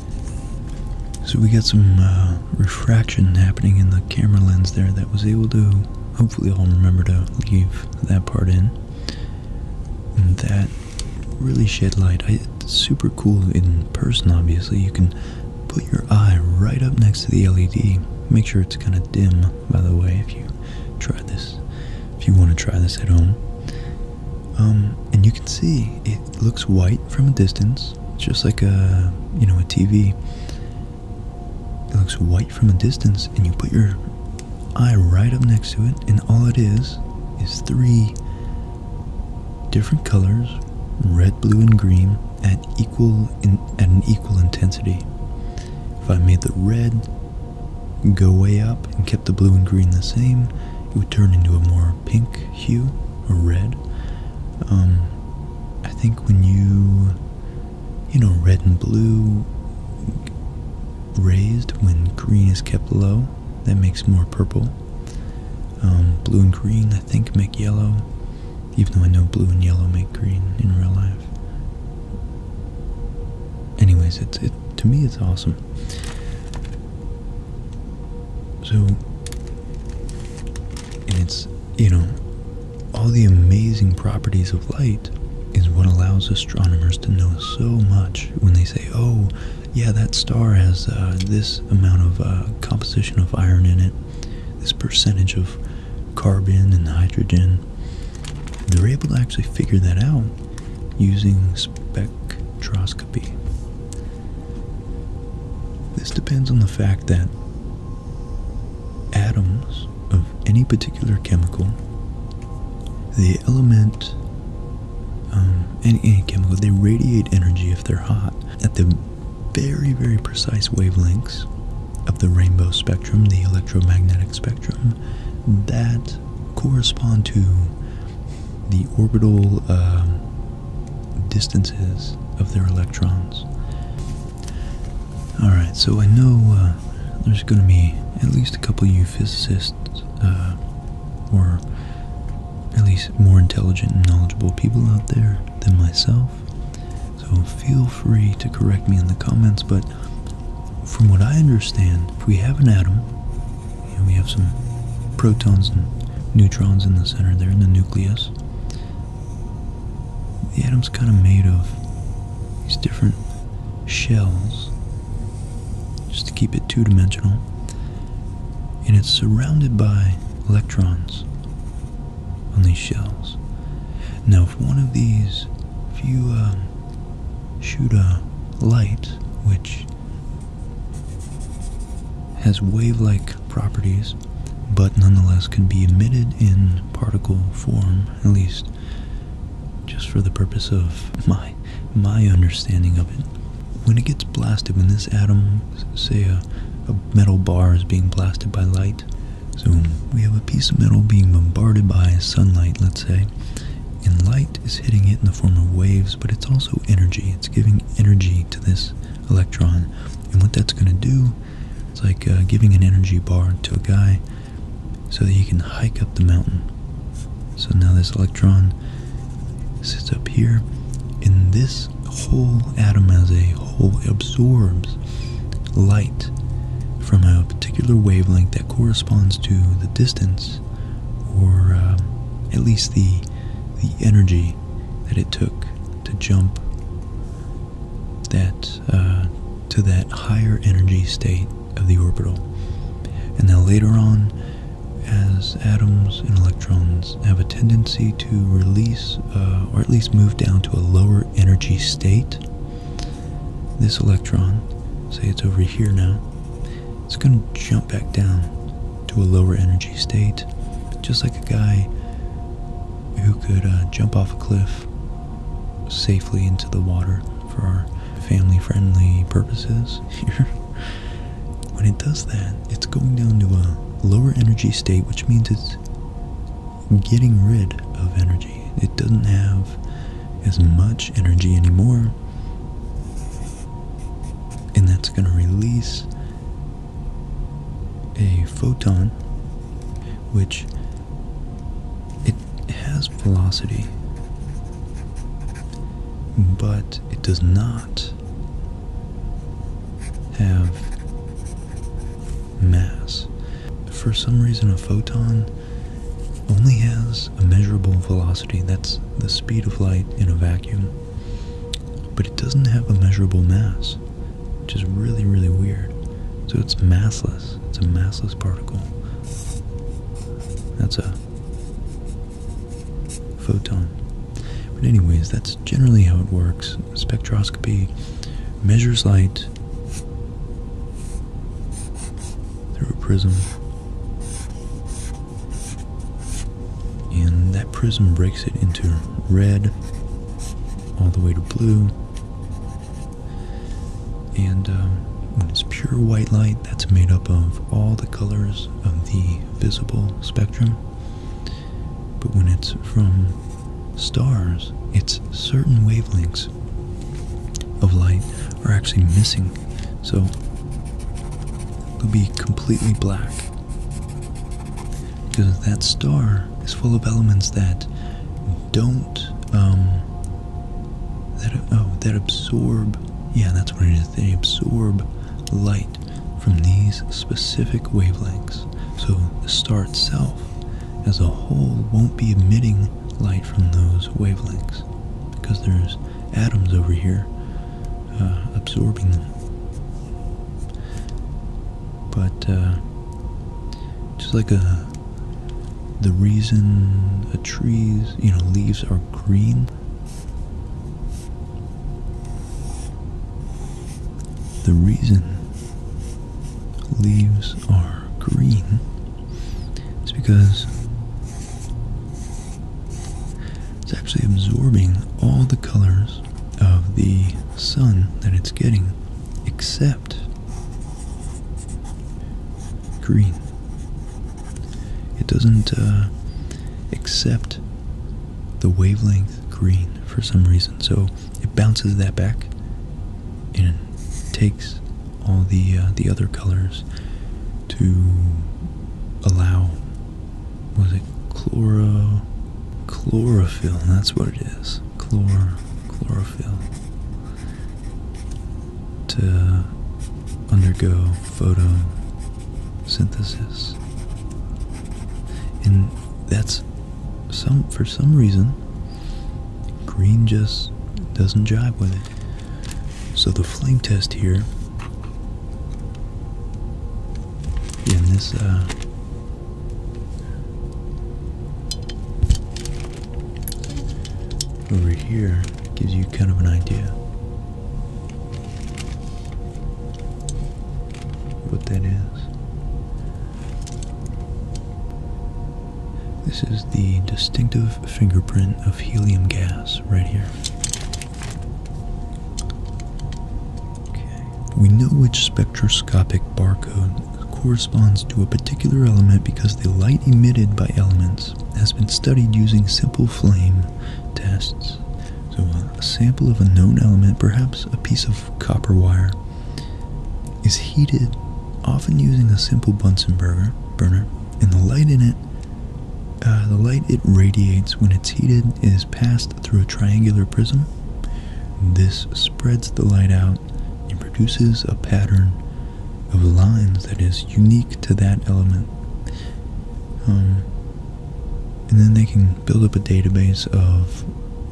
So we got some uh, refraction happening in the camera lens there that was able to, hopefully I'll remember to leave that part in. And that really shed light. it's super cool in person obviously. You can put your eye right up next to the LED. Make sure it's kind of dim by the way if you try this, if you want to try this at home. Um, and you can see it looks white from a distance it's just like a you know a TV. It looks white from a distance, and you put your eye right up next to it, and all it is is three different colors, red, blue, and green, at equal at an equal intensity. If I made the red go way up and kept the blue and green the same, it would turn into a more pink hue or red. Um, I think when you, you know, red and blue raised when green is kept low, that makes more purple. Um, blue and green, I think, make yellow, even though I know blue and yellow make green in real life. Anyways, it's it's to me it's awesome. So and it's, you know, all the amazing properties of light is what allows astronomers to know so much when they say, oh, yeah, that star has uh, this amount of uh, composition of iron in it, this percentage of carbon and hydrogen. They're able to actually figure that out using spectroscopy. This depends on the fact that atoms of any particular chemical, the element, um, any, chemical, they radiate energy if they're hot at the very, very precise wavelengths of the rainbow spectrum, the electromagnetic spectrum, that correspond to the orbital um, distances of their electrons. Alright, so I know uh, there's going to be at least a couple of you physicists, uh, or at least more intelligent and knowledgeable people out there than myself. So feel free to correct me in the comments, but from what I understand, if we have an atom, you we have some protons and neutrons in the center there in the nucleus, the atom's kind of made of these different shells, just to keep it two dimensional, and it's surrounded by electrons on these shells. Now, if one of these, if you uh, shoot a light which has wave like properties, but nonetheless can be emitted in particle form, at least just for the purpose of my my understanding of it. When it gets blasted, when this atom, say a, a metal bar is being blasted by light, so we have a piece of metal being bombarded by sunlight, let's say, and light is hitting it in the form of waves, but it's also energy. It's giving energy to this electron. And what that's going to do is like uh, giving an energy bar to a guy so that he can hike up the mountain. So now this electron sits up here, and this whole atom as a whole absorbs light from a particular wavelength that corresponds to the distance or uh, at least the the energy that it took to jump that uh, to that higher energy state of the orbital. And then later on, as atoms and electrons have a tendency to release uh, or at least move down to a lower energy state, this electron, say it's over here now, it's going to jump back down to a lower energy state, just like a guy who could uh, jump off a cliff safely into the water for our family friendly purposes here. when it does that, it's going down to a lower energy state, which means it's getting rid of energy. It doesn't have as much energy anymore, and that's going to release a photon, which it has velocity, but it does not have mass. For some reason, a photon only has a measurable velocity. That's the speed of light in a vacuum. But it doesn't have a measurable mass, which is really, really weird. So it's massless. It's a massless particle. That's a photon. But, anyways, that's generally how it works. Spectroscopy measures light through a prism. And that prism breaks it into red, all the way to blue. And um, when it's pure white light, that's made up of all the colors of the visible spectrum. But when it's from stars, it's certain wavelengths of light are actually missing. So it will be completely black because that star is full of elements that don't um, oh that absorb yeah that's what it is they absorb light from these specific wavelengths so the star itself as a whole won't be emitting light from those wavelengths because there's atoms over here uh, absorbing them but uh, just like a uh, the reason a tree's you know leaves are green, the reason leaves are green is because it's actually absorbing all the colors of the sun that it's getting, except green. It doesn't uh, accept the wavelength green for some reason, so it bounces that back and takes all the uh, the other colors to allow was it chloro chlorophyll that's what it is chlor chlorophyll to undergo photosynthesis and that's some for some reason green just doesn't jive with it so the flame test here in this uh, over here gives you kind of an idea what that is. This is the distinctive fingerprint of helium gas right here. Okay. We know which spectroscopic barcode corresponds to a particular element because the light emitted by elements has been studied using simple flame tests. So, a sample of a known element, perhaps a piece of copper wire, is heated, often using a simple Bunsen burner, burner and the light in it, uh, the light it radiates when it's heated is passed through a triangular prism. This spreads the light out and produces a pattern of lines that is unique to that element. Um, and then they can build up a database of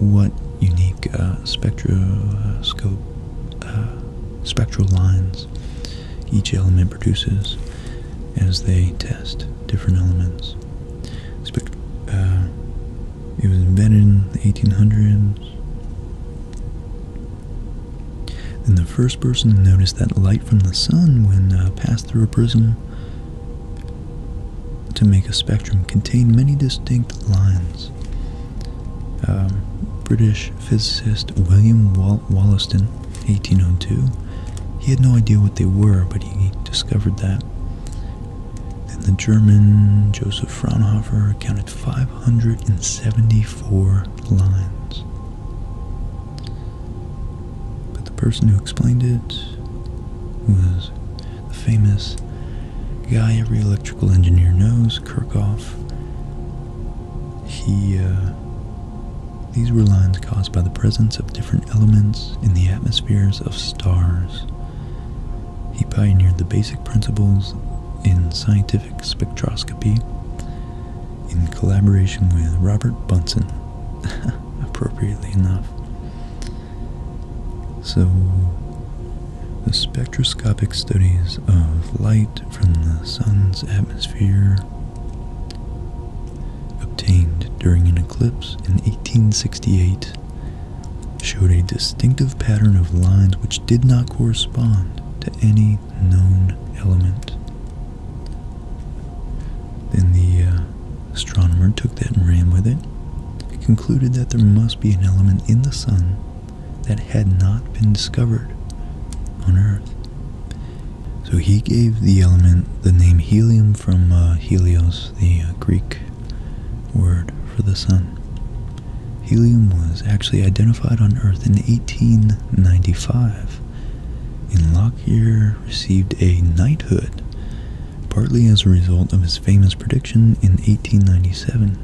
what unique uh, uh spectral lines each element produces as they test different elements. Uh, it was invented in the 1800s. And the first person to notice that light from the sun when uh, passed through a prism to make a spectrum contained many distinct lines. Um, British physicist William Wollaston, 1802, he had no idea what they were, but he discovered that. Then the German Joseph Fraunhofer counted 574 lines. But the person who explained it was the famous guy every electrical engineer knows, Kirchhoff. He, uh, these were lines caused by the presence of different elements in the atmospheres of stars. He pioneered the basic principles in scientific spectroscopy in collaboration with Robert Bunsen, appropriately enough. So, the spectroscopic studies of light from the sun's atmosphere obtained during an eclipse in 1868 showed a distinctive pattern of lines which did not correspond to any known element. Then the uh, astronomer took that and ran with it, concluded that there must be an element in the sun that had not been discovered on Earth. So he gave the element the name helium from uh, Helios, the uh, Greek word for the sun. Helium was actually identified on Earth in 1895, and Lockyer received a knighthood, partly as a result of his famous prediction in 1897.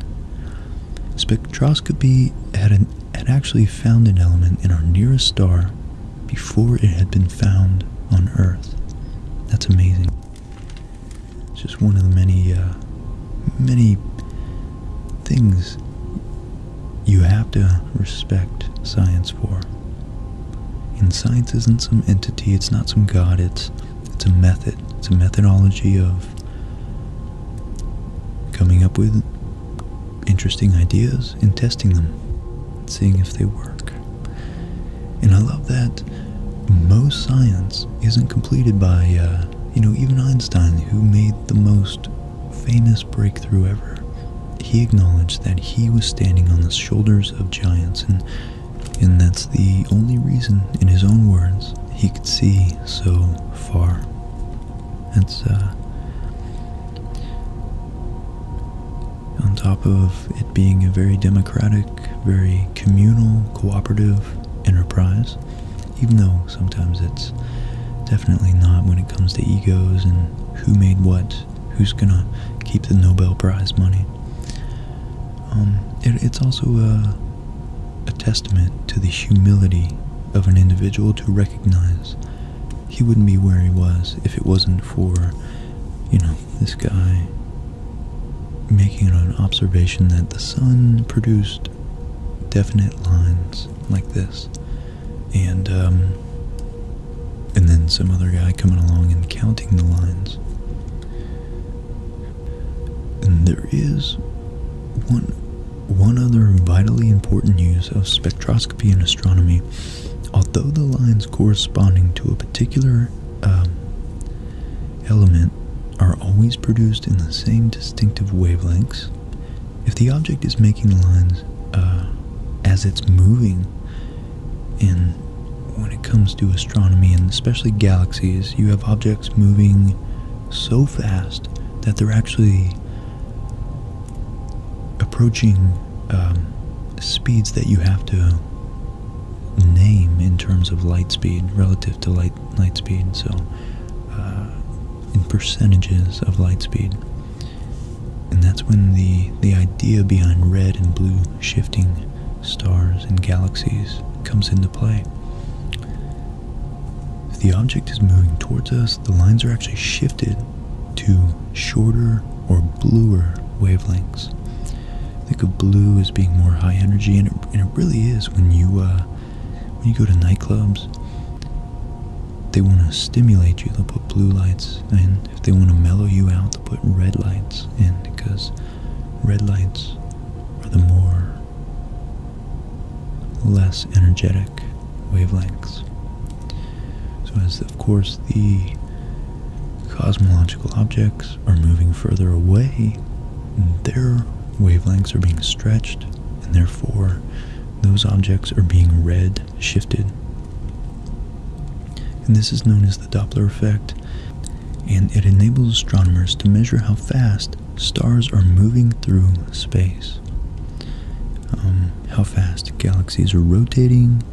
Spectroscopy had actually found an element in our nearest star before it had been found on Earth. That's amazing. It's just one of the many, uh, many things you have to respect science for. And science isn't some entity, it's not some god, it's, it's a method. It's a methodology of coming up with interesting ideas and testing them, and seeing if they work. And I love that most science isn't completed by, uh, you know, even Einstein, who made the most famous breakthrough ever. He acknowledged that he was standing on the shoulders of giants, and, and that's the only reason, in his own words, he could see so far. That's, uh, on top of it being a very democratic, very communal, cooperative enterprise, even though sometimes it's definitely not when it comes to egos and who made what, who's gonna keep the Nobel Prize money. Um, it's also a testament to the humility of an individual to recognize he wouldn't be where he was if it wasn't for, you know, this guy making an observation that the sun produced definite lines like this, and um, and then some other guy coming along and counting the lines. And there is one one other vitally important use of spectroscopy in astronomy. Although the lines corresponding to a particular um, element are always produced in the same distinctive wavelengths. If the object is making lines uh, as it's moving, and when it comes to astronomy and especially galaxies, you have objects moving so fast that they're actually approaching um, speeds that you have to name in terms of light speed relative to light light speed. So, uh, in percentages of light speed, and that's when the the idea behind red and blue shifting stars and galaxies comes into play. If the object is moving towards us, the lines are actually shifted to shorter or bluer wavelengths think of blue as being more high energy, and it, really is when you uh, when you go to nightclubs. They want to stimulate you. They'll put blue lights, and if they want to mellow you out, they'll put red lights in because red lights are the more less energetic wavelengths. So as of course the cosmological objects are moving further away, their wavelengths are being stretched, and therefore those objects are being red shifted. And this is known as the Doppler effect, and it enables astronomers to measure how fast stars are moving through space, um, how fast galaxies are rotating,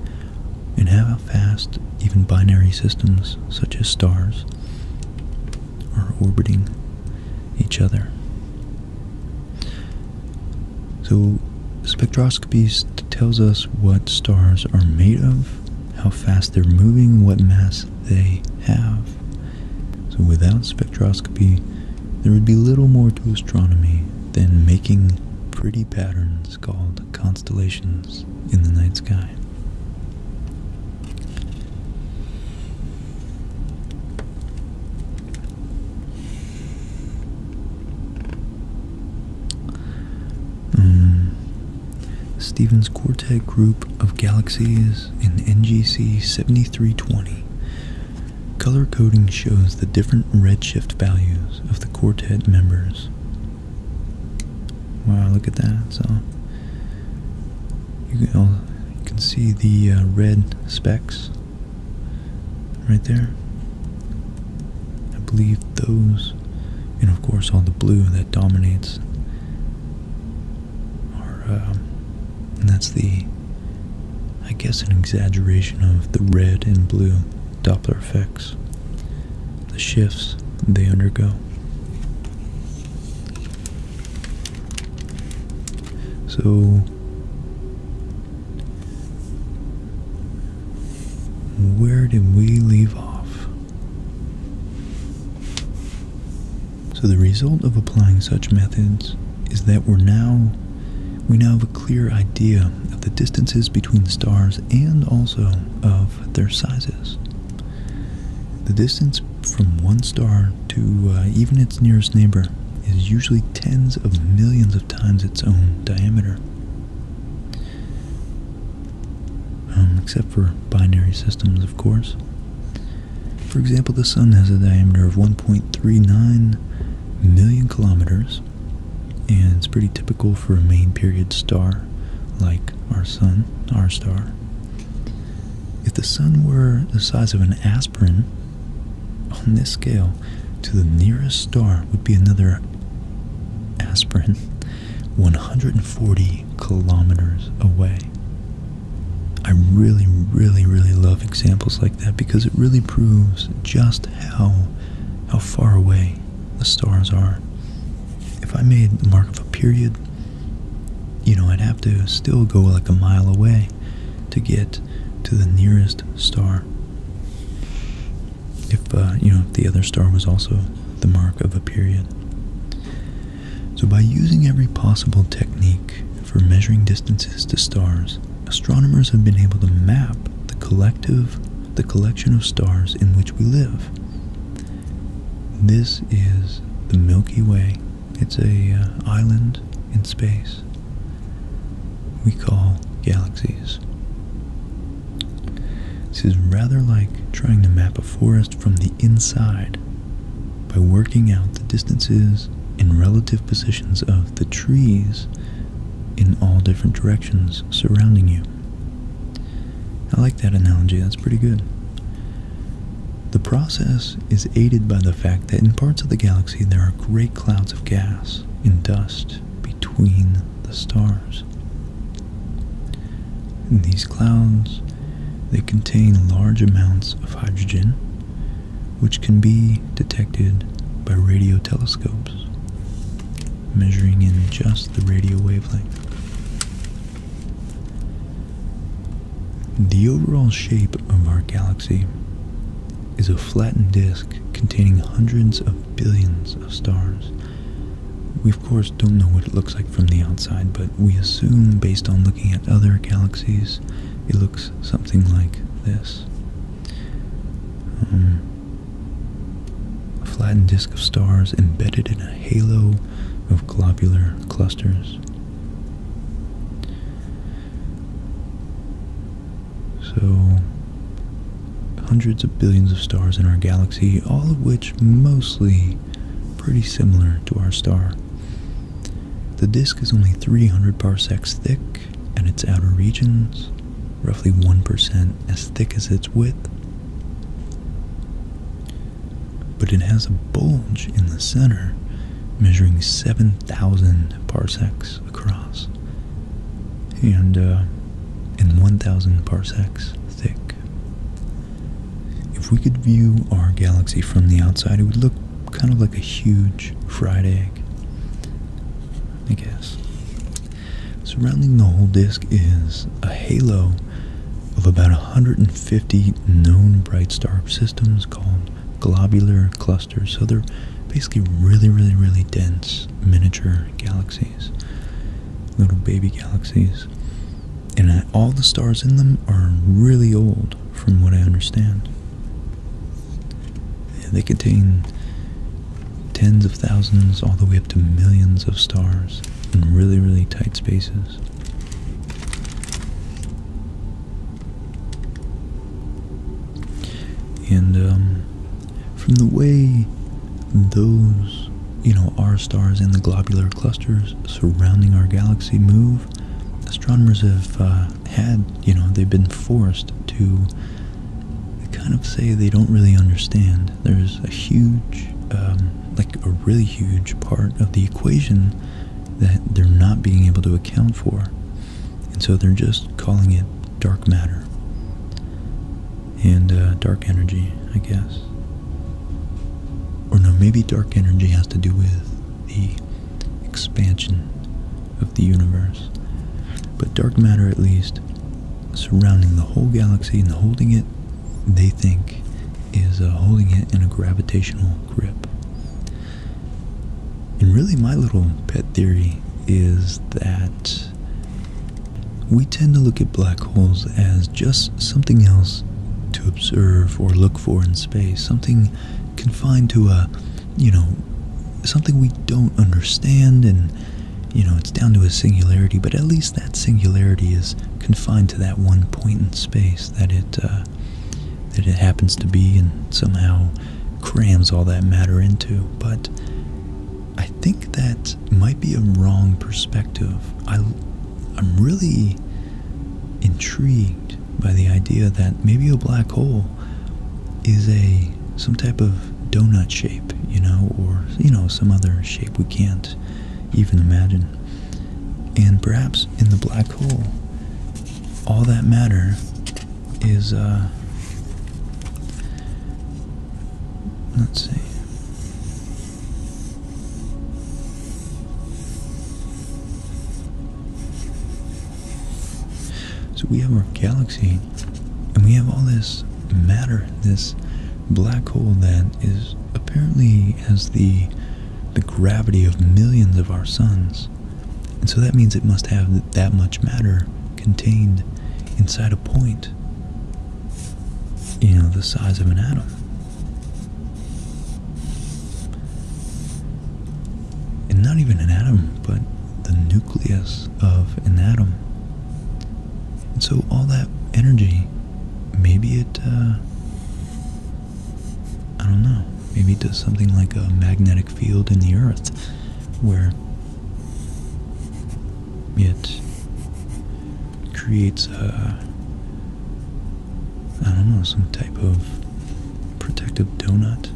and how fast even binary systems such as stars are orbiting each other. So, spectroscopy tells us what stars are made of, how fast they're moving, what mass they have. So, without spectroscopy, there would be little more to astronomy than making pretty patterns called constellations in the night sky. Mm. Stevens Quartet Group of Galaxies in NGC 7320. Color coding shows the different redshift values of the quartet members Wow, look at that. So you can, see the uh, red specks right there. I believe those, and of course all the blue that dominates, are, um, and that's the, I guess, an exaggeration of the red and blue Doppler effect the shifts they undergo. So, where did we leave off? So the result of applying such methods is that we're now we now have a clear idea of the distances between stars and also of their sizes. The distance from one star to uh, even its nearest neighbor is usually tens of millions of times its own diameter. Um, except for binary systems, of course. For example, the Sun has a diameter of 1.39 million kilometers, and it's pretty typical for a main period star like our sun, our star. If the sun were the size of an aspirin, on this scale, to the nearest star would be another aspirin 140 kilometers away. I really, really, really love examples like that because it really proves just how how far away the stars are. If I made the mark of a period, you know, I'd have to still go like a mile away to get to the nearest star. If, uh, you know, if the other star was also the mark of a period. So by using every possible technique for measuring distances to stars, astronomers have been able to map the collective the collection of stars in which we live. This is the Milky Way. It's a uh, island in space we call galaxies. This is rather like trying to map a forest from the inside by working out the distances and relative positions of the trees in all different directions surrounding you. I like that analogy, that's pretty good. The process is aided by the fact that in parts of the galaxy there are great clouds of gas and dust between the stars. In these clouds, they contain large amounts of hydrogen, which can be detected by radio telescopes, measuring in just the radio wavelength. The overall shape of our galaxy is a flattened disk containing hundreds of billions of stars. We, of course, don't know what it looks like from the outside, but we assume, based on looking at other galaxies, it looks something like this. Um, a flattened disk of stars embedded in a halo of globular clusters. So, hundreds of billions of stars in our galaxy, all of which mostly pretty similar to our star. The disk is only 300 parsecs thick, and its outer regions, roughly 1% as thick as its width but it has a bulge in the center measuring 7,000 parsecs across and, uh, 1,000 parsecs thick. If we could view our galaxy from the outside, it would look kind of like a huge fried egg, I guess. Surrounding the whole disk is a halo of about 150 known bright star systems called globular clusters. So they're basically really, really, really dense miniature galaxies, little baby galaxies. And all the stars in them are really old, from what I understand. they contain tens of thousands all the way up to millions of stars in really, really tight spaces. And um, from the way those, you know, our stars and the globular clusters surrounding our galaxy move, astronomers have uh, had, you know, they've been forced to kind of say they don't really understand there's a huge, um, like a really huge part of the equation that they're not being able to account for. And so they're just calling it dark matter and uh, dark energy, I guess. Or no, maybe dark energy has to do with the expansion of the universe. But dark matter, at least, surrounding the whole galaxy and holding it they think is uh, holding it in a gravitational grip. And really, my little pet theory is that we tend to look at black holes as just something else to observe or look for in space, something confined to a, you know, something we don't understand and, you know, it's down to a singularity, but at least that singularity is confined to that one point in space that it uh, that it happens to be and somehow crams all that matter into. But I think that might be a wrong perspective. I'm really intrigued by the idea that maybe a black hole is a some type of donut shape, you know, or you know some other shape we can't even imagine. And perhaps in the black hole, all that matter is, uh, let's see. So we have our galaxy, and we have all this matter, this black hole then is apparently has the the gravity of millions of our suns. And so that means it must have that much matter contained inside a point, you know, the size of an atom. And not even an atom, but the nucleus of an atom. And so all that energy maybe it, uh, I don't know, maybe it does something like a magnetic field in the earth where it creates a, I don't know, some type of protective donut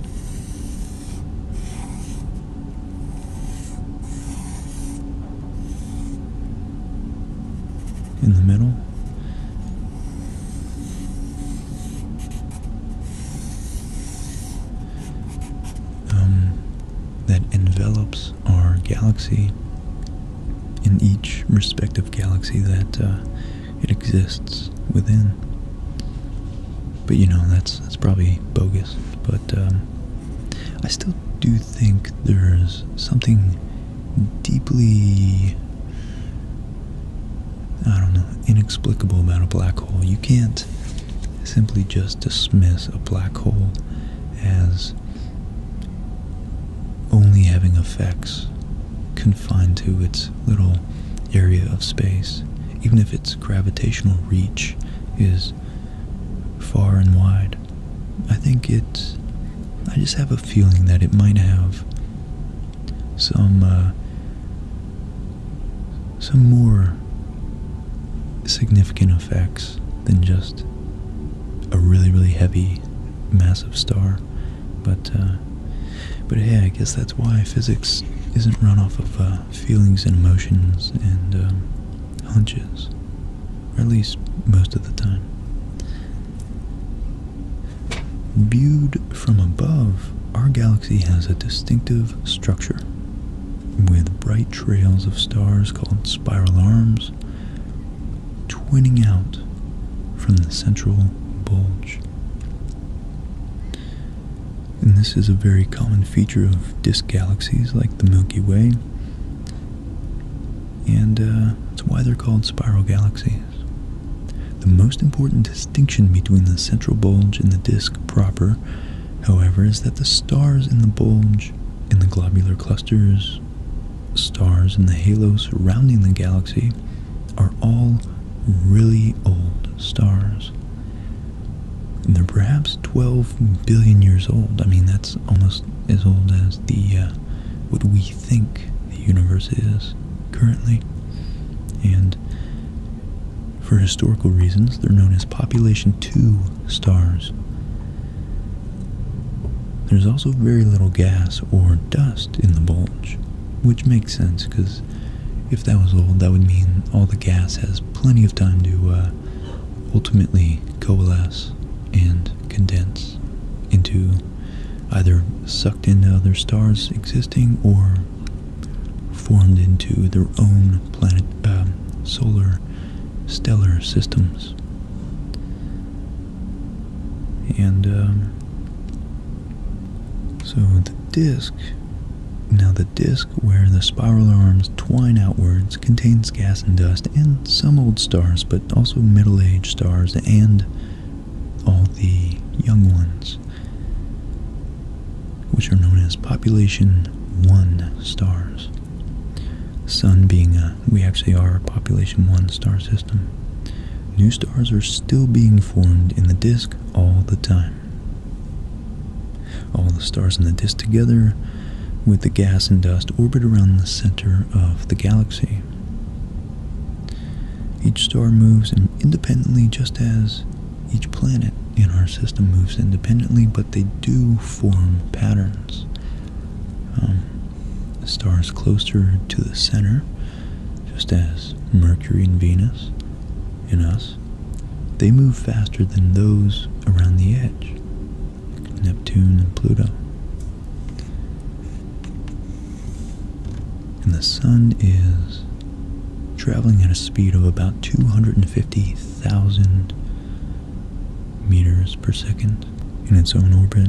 in the middle. Um, that envelops our galaxy in each respective galaxy that uh, it exists within. But you know that's that's probably bogus. But um, I still do think there's something deeply, I don't know, inexplicable about a black hole. You can't simply just dismiss a black hole as only having effects confined to its little area of space, even if its gravitational reach is far and wide. I think it's. I just have a feeling that it might have some uh, some more significant effects than just a really really heavy massive star but uh, but hey I guess that's why physics isn't run off of uh, feelings and emotions and um, hunches at least most of the time. Viewed from above, our galaxy has a distinctive structure with bright trails of stars called spiral arms twinning out from the central bulge. And this is a very common feature of disk galaxies like the Milky Way and uh, that's why they're called spiral galaxies. The most important distinction between the central bulge and the disk proper, however, is that the stars in the bulge in the globular clusters, stars in the halo surrounding the galaxy, are all really old stars. And they're perhaps 12 billion years old. I mean, that's almost as old as the uh, what we think the universe is currently. And for historical reasons, they're known as population 2 stars. There's also very little gas or dust in the bulge, which makes sense because if that was old, that would mean all the gas has plenty of time to uh, ultimately coalesce and condense into either sucked into other stars existing or formed into their own planet, um, solar, stellar systems. And um, so the disk, now the disk where the spiral arms twine outwards contains gas and dust and some old stars, but also middle-aged stars and all the young ones, which are known as population 1 stars. Sun being a, uh, we actually are a population 1 star system. New stars are still being formed in the disk all the time. All the stars in the disk together with the gas and dust orbit around the center of the galaxy. Each star moves independently just as each planet in our system moves independently, but they do form patterns. Um, the stars closer to the center, just as Mercury and Venus in us, they move faster than those around the edge. Neptune, and Pluto. And the sun is traveling at a speed of about 250,000 meters per second in its own orbit,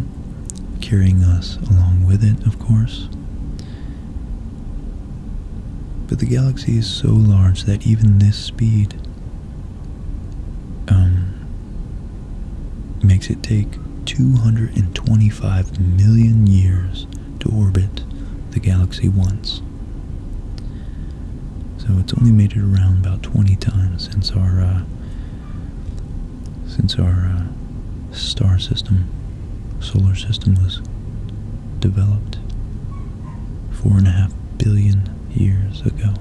carrying us along with it, of course. But the galaxy is so large that even this speed um, makes it take 225 million years to orbit the galaxy once. So it's only made it around about 20 times since our uh, since our uh, star system, solar system was developed four and a half billion years ago.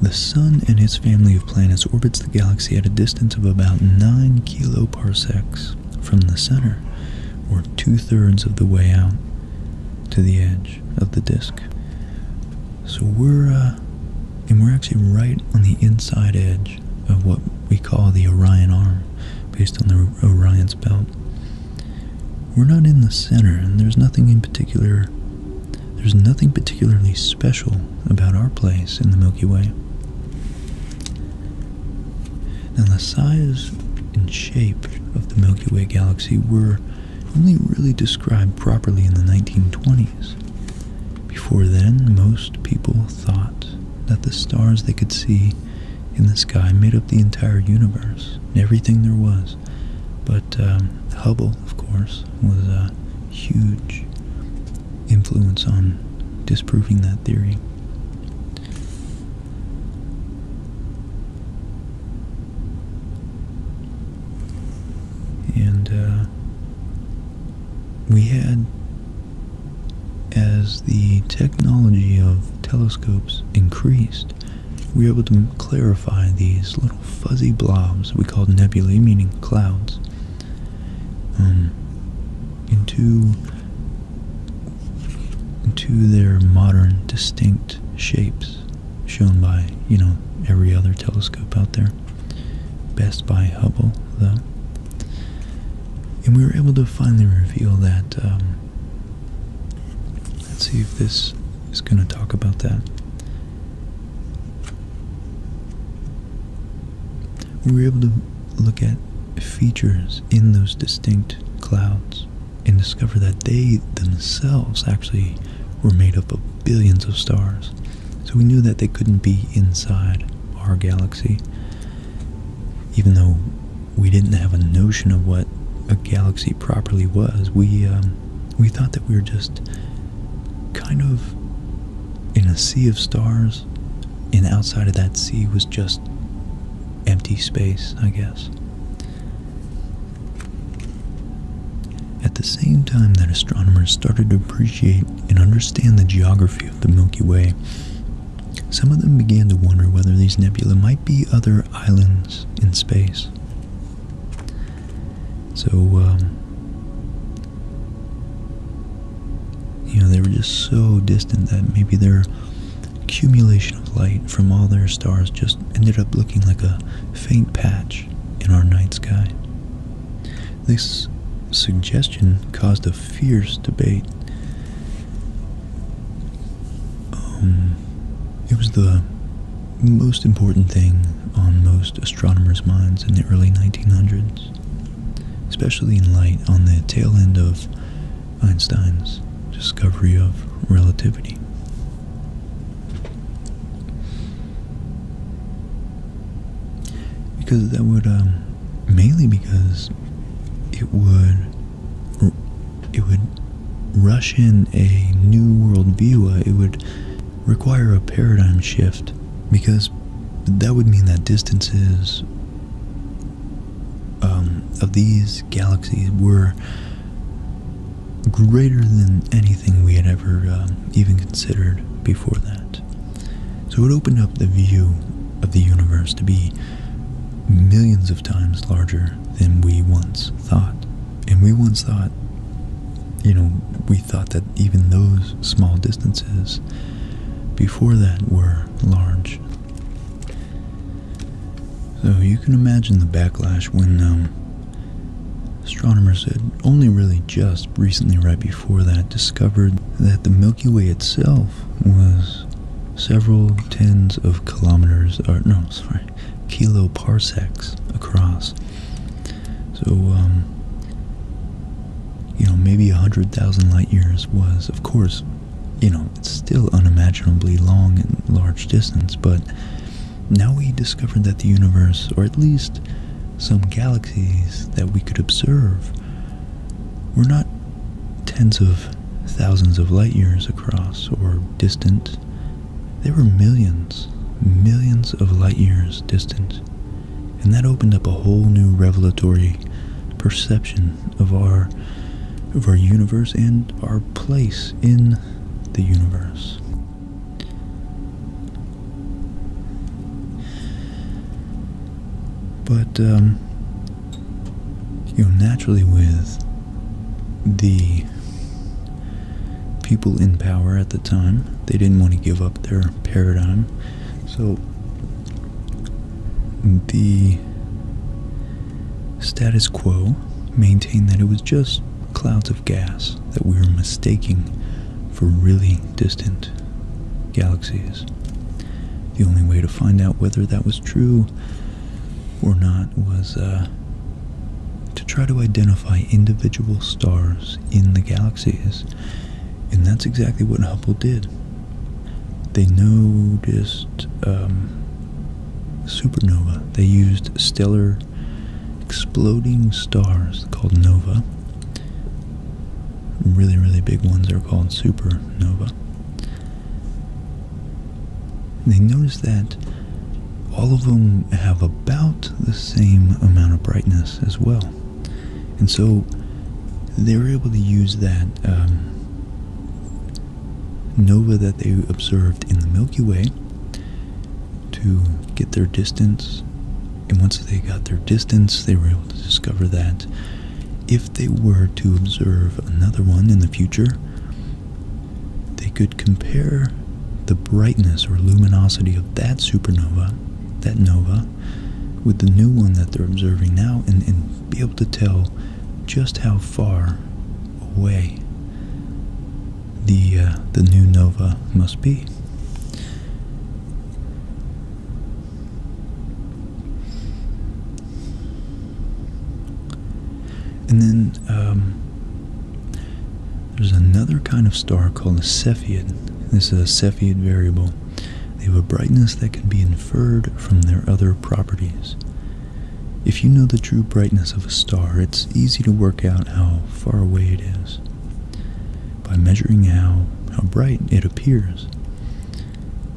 The Sun and its family of planets orbits the galaxy at a distance of about 9 kiloparsecs from the center, or two-thirds of the way out to the edge of the disk. So we're, uh, and we're actually right on the inside edge of what we call the Orion Arm, based on the Orion's belt. We're not in the center, and there's nothing in particular there's nothing particularly special about our place in the Milky Way. Now, the size and shape of the Milky Way galaxy were only really described properly in the 1920s. Before then, most people thought that the stars they could see in the sky made up the entire universe, everything there was. But um, Hubble, of course, was a huge influence on disproving that theory. And uh, we had, as the technology of telescopes increased, we were able to clarify these little fuzzy blobs we called nebulae, meaning clouds, um, into into their modern distinct shapes shown by you know every other telescope out there best by hubble though and we were able to finally reveal that um, let's see if this is going to talk about that we were able to look at features in those distinct clouds and discover that they themselves actually were made up of billions of stars. So we knew that they couldn't be inside our galaxy, even though we didn't have a notion of what a galaxy properly was. We um, we thought that we were just kind of in a sea of stars, and outside of that sea was just empty space, I guess. At the same time that astronomers started to appreciate and understand the geography of the Milky Way, some of them began to wonder whether these nebulae might be other islands in space. So, um, you know, they were just so distant that maybe their accumulation of light from all their stars just ended up looking like a faint patch in our night sky. This suggestion caused a fierce debate. Um, it was the most important thing on most astronomers' minds in the early 1900s, especially in light on the tail end of Einstein's discovery of relativity. Because that would, um, mainly because it would, it would rush in a new world view. Uh, it would require a paradigm shift because that would mean that distances um, of these galaxies were greater than anything we had ever um, even considered before that. So it opened up the view of the universe to be millions of times larger than we once thought. And we once thought you know, we thought that even those small distances before that were large. So you can imagine the backlash when um, astronomers had only really just recently, right before that, discovered that the Milky Way itself was several tens of kilometers, or no, sorry, kiloparsecs across. So, um, you know, maybe 100,000 light years was, of course, you know, it's still unimaginably long and large distance, but now we discovered that the universe, or at least some galaxies that we could observe, were not tens of thousands of light years across or distant they were millions, millions of light years distant, and that opened up a whole new revelatory perception of our of our universe and our place in the universe. But um, you know, naturally with the people in power at the time. They didn't want to give up their paradigm. So the status quo maintained that it was just clouds of gas that we were mistaking for really distant galaxies. The only way to find out whether that was true or not was uh, to try to identify individual stars in the galaxies. And that's exactly what Hubble did. They noticed um, supernova. They used stellar exploding stars called nova. Really, really big ones are called supernova. they noticed that all of them have about the same amount of brightness as well. And so they were able to use that um, nova that they observed in the Milky Way to get their distance. And once they got their distance, they were able to discover that if they were to observe another one in the future, they could compare the brightness or luminosity of that supernova, that nova, with the new one that they're observing now and, be able to tell just how far away the, uh, the new nova must be. And then um, there's another kind of star called a Cepheid. This is a Cepheid variable. They have a brightness that can be inferred from their other properties. If you know the true brightness of a star, it's easy to work out how far away it is by measuring how, how bright it appears.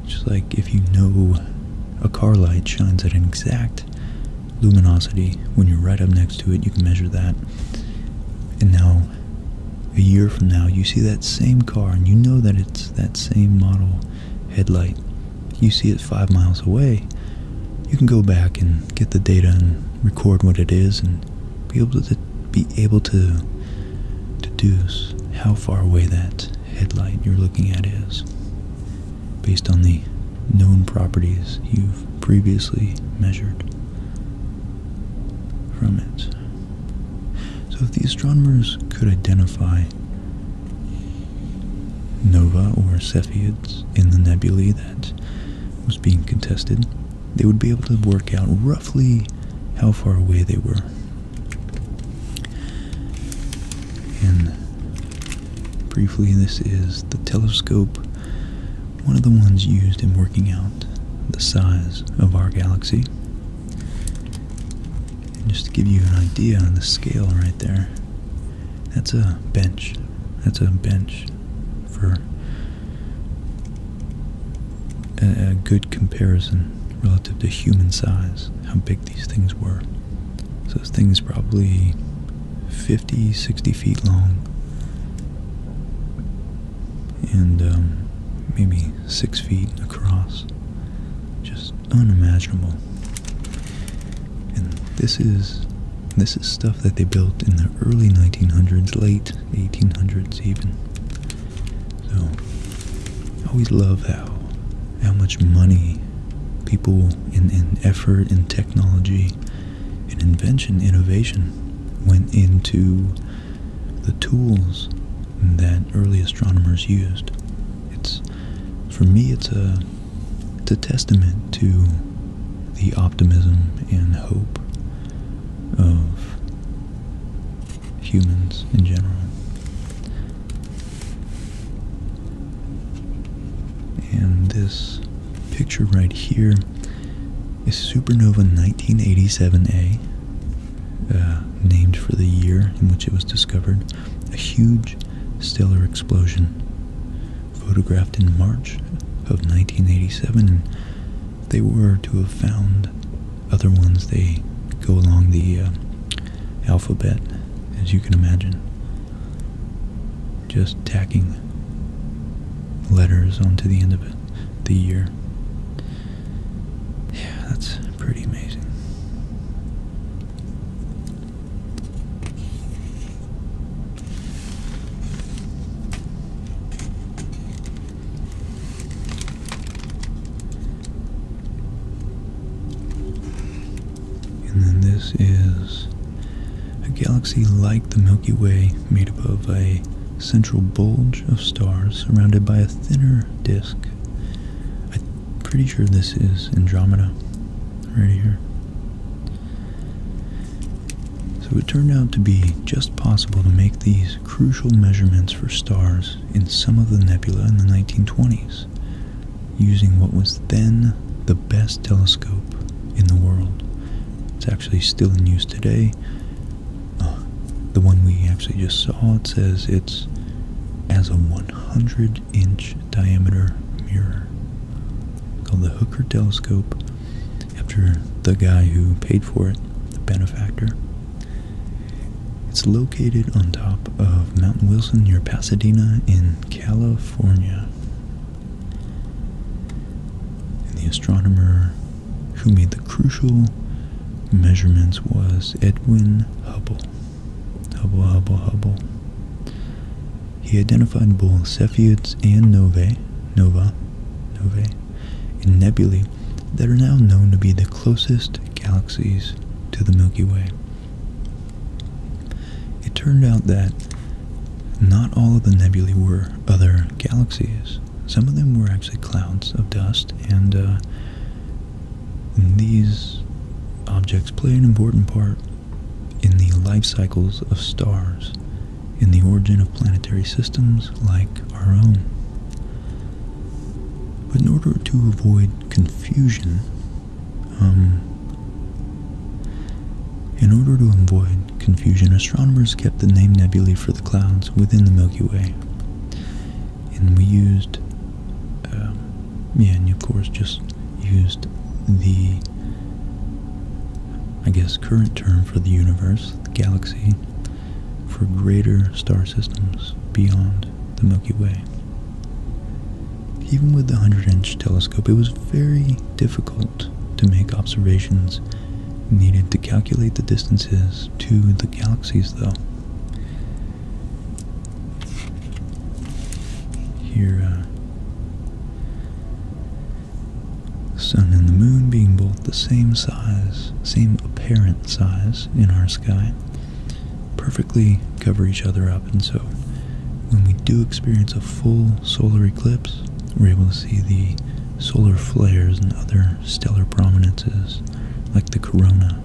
Just like if you know a car light shines at an exact luminosity. When you're right up next to it, you can measure that. And now, a year from now, you see that same car and you know that it's that same model headlight. You see it five miles away. You can go back and get the data and record what it is and be able to be able to deduce how far away that headlight you're looking at is based on the known properties you've previously measured from it. So if the astronomers could identify nova or Cepheids in the nebulae that was being contested, they would be able to work out roughly how far away they were. And briefly, this is the telescope one of the ones used in working out the size of our galaxy. just to give you an idea on the scale right there, that's a bench. That's a bench for a, good comparison relative to human size, how big these things were. So things probably 50, 60 feet long, and um, maybe six feet across. Just unimaginable. And this is this is stuff that they built in the early 1900s, late 1800s even. So I always love how how much money people and, and effort and technology technology invention, innovation went into the tools that early astronomers used. It's for me, it's a testament to the optimism and hope of humans in general. And this picture right here is supernova 1987A, uh, named for the year in which it was discovered, a huge stellar explosion photographed in March of 1987. And they were to have found other ones. They go along the uh, alphabet, as you can imagine just tacking letters onto the end of the year. Yeah, that's pretty amazing. And then this is a galaxy like the Milky Way made up of a central bulge of stars surrounded by a thinner disk. I'm pretty sure this is Andromeda right here. So it turned out to be just possible to make these crucial measurements for stars in some of the nebula in the 1920s using what was then the best telescope in the world. It's actually still in use today. Uh, the one we actually just saw, it says it's as a 100 inch diameter mirror called the Hooker telescope after the guy who paid for it, the benefactor. It's located on top of Mount Wilson near Pasadena in California. And the astronomer who made the crucial measurements was Edwin Hubble. Hubble, Hubble, Hubble. He identified both Cepheids and novae, nova, novae, and nebulae that are now known to be the closest galaxies to the Milky Way. It turned out that not all of the nebulae were other galaxies. Some of them were actually clouds of dust, and, uh, these objects play an important part in the life cycles of stars, in the origin of planetary systems like our own. But in order to avoid confusion, um, in order to avoid confusion, astronomers kept the name nebulae for the clouds within the Milky Way. And we used, um, yeah, and of course just used the, I guess, current term for the universe, the galaxy, for greater star systems beyond the Milky Way. Even with the 100 inch telescope, it was very difficult to make observations needed to calculate the distances to the galaxies, though. Here, uh, Sun and the Moon being both the same size, same apparent size in our sky, perfectly cover each other up, and so when we do experience a full solar eclipse, we're able to see the solar flares and other stellar prominences like the corona.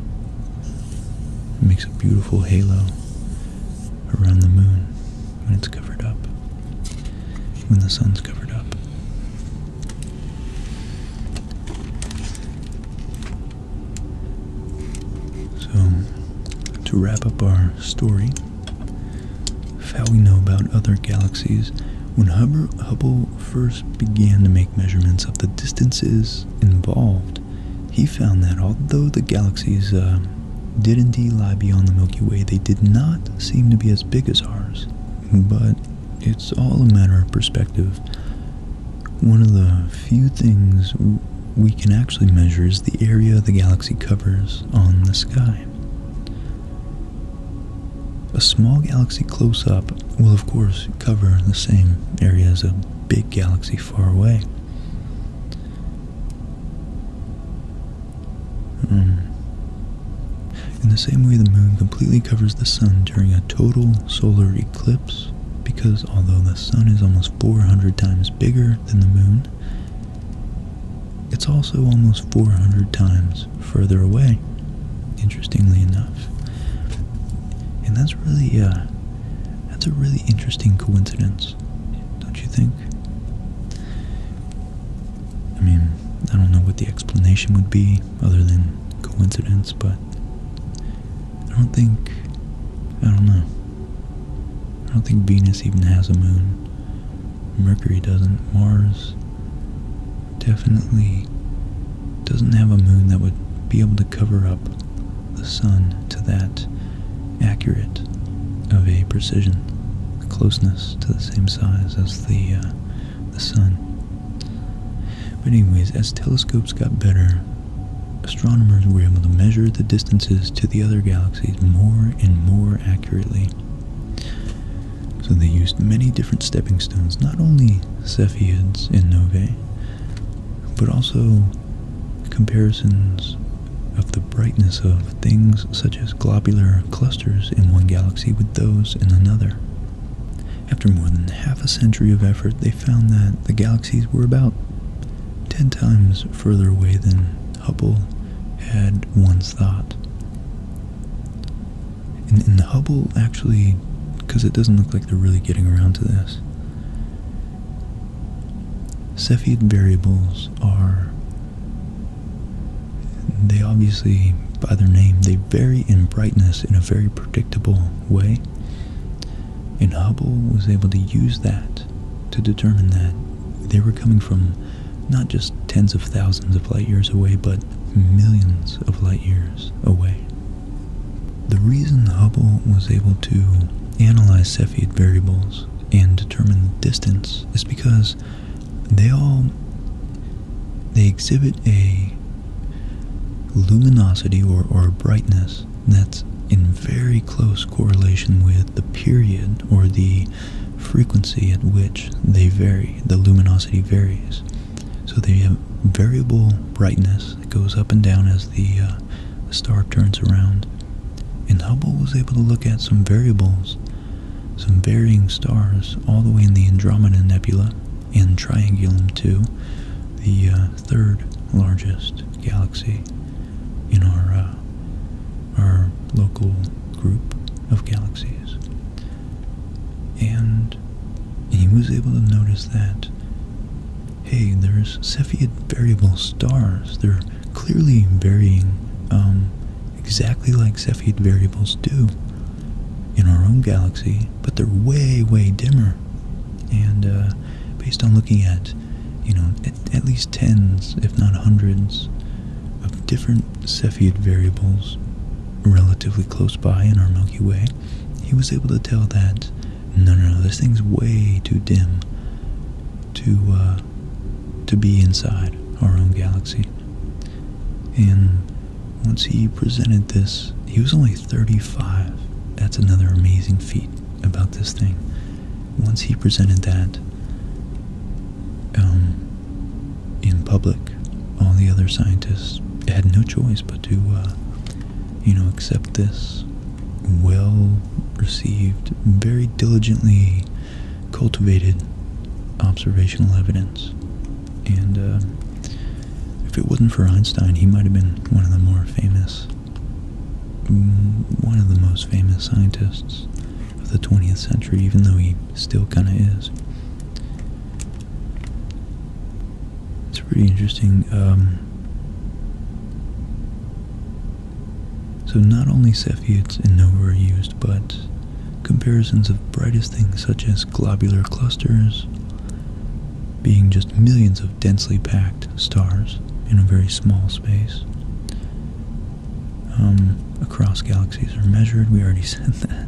makes a beautiful halo around the moon when it's covered up, when the sun's covered up. So, to wrap up our story, how we know about other galaxies. When Hubble first began to make measurements of the distances involved, he found that although the galaxies uh, did indeed lie beyond the Milky Way, they did not seem to be as big as ours. But it's all a matter of perspective. One of the few things we can actually measure is the area the galaxy covers on the sky. A small galaxy close up will, of course, cover the same area as a big galaxy far away. Hmm. In the same way, the moon completely covers the sun during a total solar eclipse because although the sun is almost 400 times bigger than the moon, it's also almost 400 times further away, interestingly enough. And that's really, uh, that's a really interesting coincidence, don't you think? I mean, I don't know what the explanation would be other than coincidence, but I don't think, I don't know. I don't think Venus even has a moon. Mercury doesn't. Mars definitely doesn't have a moon that would be able to cover up the sun to that accurate of a precision, closeness to the same size as the uh, sun. But anyways, as telescopes got better, astronomers were able to measure the distances to the other galaxies more and more accurately so they used many different stepping stones, not only Cepheids and Novae, but also comparisons of the brightness of things such as globular clusters in one galaxy with those in another. After more than half a century of effort, they found that the galaxies were about 10 times further away than Hubble had once thought. In Hubble actually, because it doesn't look like they're really getting around to this, Cepheid variables are, they obviously, by their name, they vary in brightness in a very predictable way. And Hubble was able to use that to determine that they were coming from not just tens of thousands of light years away, but millions of light years away. The reason Hubble was able to analyze Cepheid variables and determine the distance is because they all they exhibit a luminosity or, or brightness that's in very close correlation with the period or the frequency at which they vary, the luminosity varies. So they have variable brightness that goes up and down as uh, the, star turns around. And Hubble was able to look at some variables, some varying stars, all the way in the Andromeda Nebula in Triangulum 2, the uh, third largest galaxy in our uh, our local group of galaxies. And he was able to notice that, hey, there's Cepheid variable stars. They're clearly varying um, exactly like Cepheid variables do in our own galaxy, but they're way, way dimmer. And uh, based on looking at, you know, at least tens, if not hundreds, of different Cepheid variables relatively close by in our Milky Way, he was able to tell that no, no, no, this thing's way too dim to uh, to be inside our own galaxy. And once he presented this, he was only 35. That's another amazing feat about this thing. Once he presented that, um, in public, all the other scientists had no choice but to, uh, you know, accept this well received, very diligently cultivated observational evidence. And uh, if it wasn't for Einstein, he might have been one of the more famous, mm, one of the most famous scientists of the 20th century, even though he still kind of is. It's pretty interesting. Um, so not only Cepheids and novae are used, but comparisons of brightest things such as globular clusters being just millions of densely packed stars in a very small space um, across galaxies are measured. We already said that.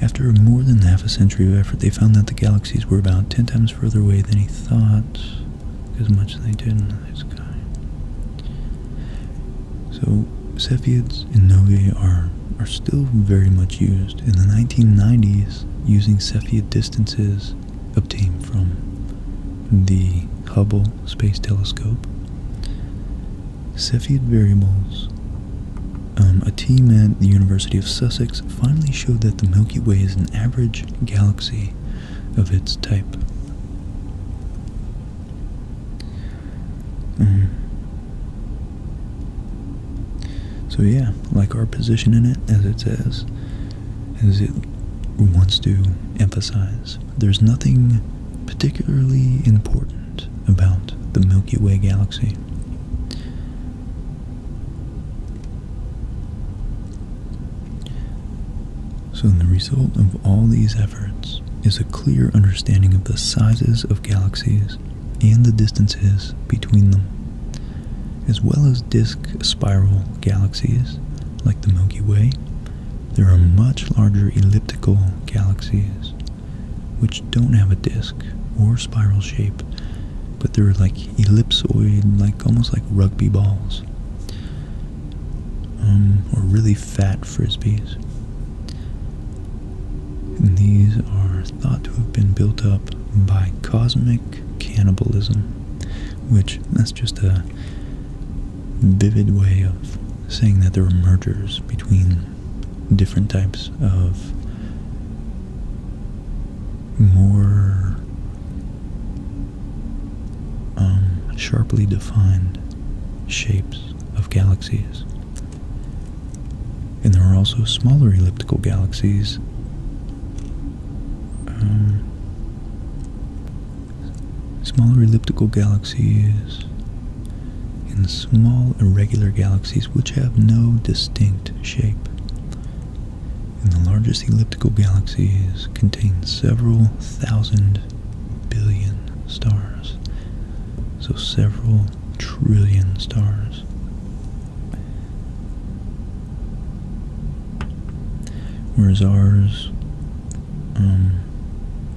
After more than half a century of effort, they found that the galaxies were about 10 times further away than he thought, as much as they did in the sky. So, Cepheids and novae are, are still very much used. In the 1990s, using Cepheid distances obtained from the Hubble Space Telescope, Cepheid variables. Um, a team at the University of Sussex finally showed that the Milky Way is an average galaxy of its type. Mm-hmm. So, yeah, like our position in it, as it says, as it wants to emphasize, there's nothing particularly important about the Milky Way galaxy. So, the result of all these efforts is a clear understanding of the sizes of galaxies and the distances between them, as well as disk spiral galaxies like the Milky Way. There are much larger elliptical galaxies which don't have a disc or spiral shape, but they're like ellipsoid, like almost like rugby balls, um, or really fat frisbees. And these are thought to have been built up by cosmic cannibalism, which that's just a vivid way of saying that there were mergers between different types of more um, sharply defined shapes of galaxies. And there are also smaller elliptical galaxies. Um, smaller elliptical galaxies in small irregular galaxies which have no distinct shape. And the largest elliptical galaxies contain several thousand billion stars, so several trillion stars. Whereas ours um,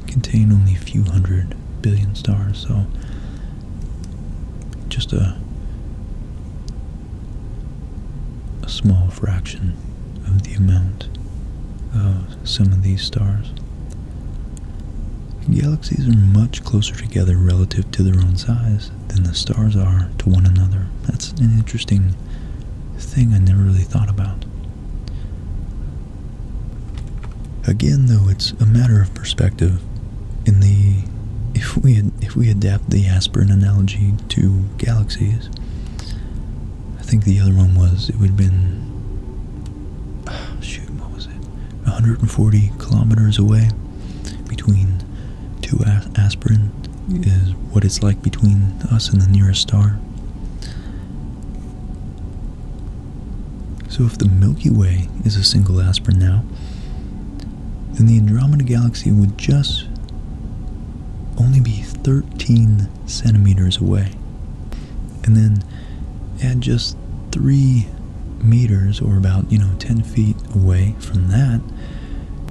contain only a few hundred Billion stars, so just a small fraction of the amount of some of these stars. Galaxies are much closer together relative to their own size than the stars are to one another. That's an interesting thing I never really thought about. Again, though, it's a matter of perspective. In the if we if we adapt the aspirin analogy to galaxies, I think the other one was it would have been shoot what was it 140 kilometers away between two aspirin is what it's like between us and the nearest star. So, if the Milky Way is a single aspirin now, then the Andromeda Galaxy would just only be 13 centimeters away. And then add just 3 meters, or about, you know, 10 feet away from that,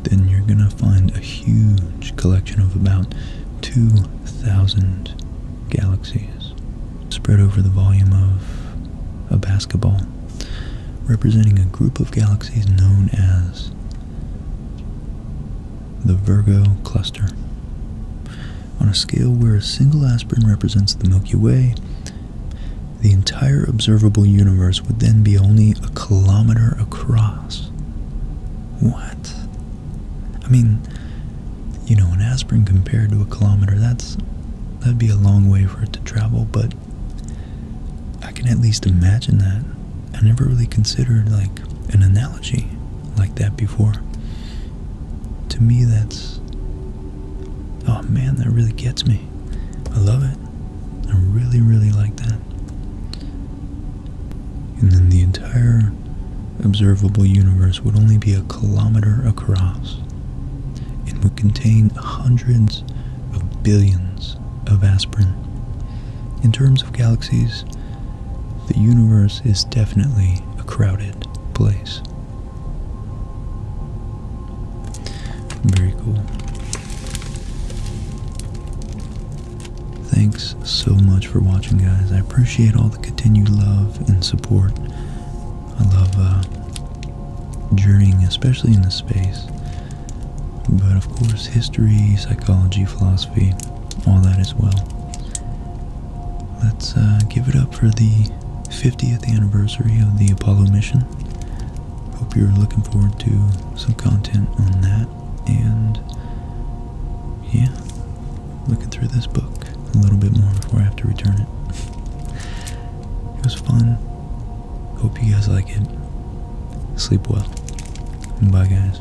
then you're going to find a huge collection of about 2,000 galaxies spread over the volume of a basketball, representing a group of galaxies known as the Virgo Cluster. On a scale where a single aspirin represents the Milky Way, the entire observable universe would then be only a kilometer across. What? I mean, you know, an aspirin compared to a kilometer, that's that'd be a long way for it to travel, but I can at least imagine that. I never really considered like an analogy like that before. To me, that's oh man, that really gets me. I love it. I really, really like that. And then the entire observable universe would only be a kilometer across and would contain hundreds of billions of aspirin. In terms of galaxies, the universe is definitely a crowded place. Very cool. Thanks so much for watching, guys. I appreciate all the continued love and support. I love uh, journeying, especially into space. But of course, history, psychology, philosophy, all that as well. Let's uh, give it up for the 50th anniversary of the Apollo mission. Hope you're looking forward to some content on that. And yeah, looking through this book a little bit more before I have to return it. It was fun. Hope you guys like it. Sleep well. bye, guys.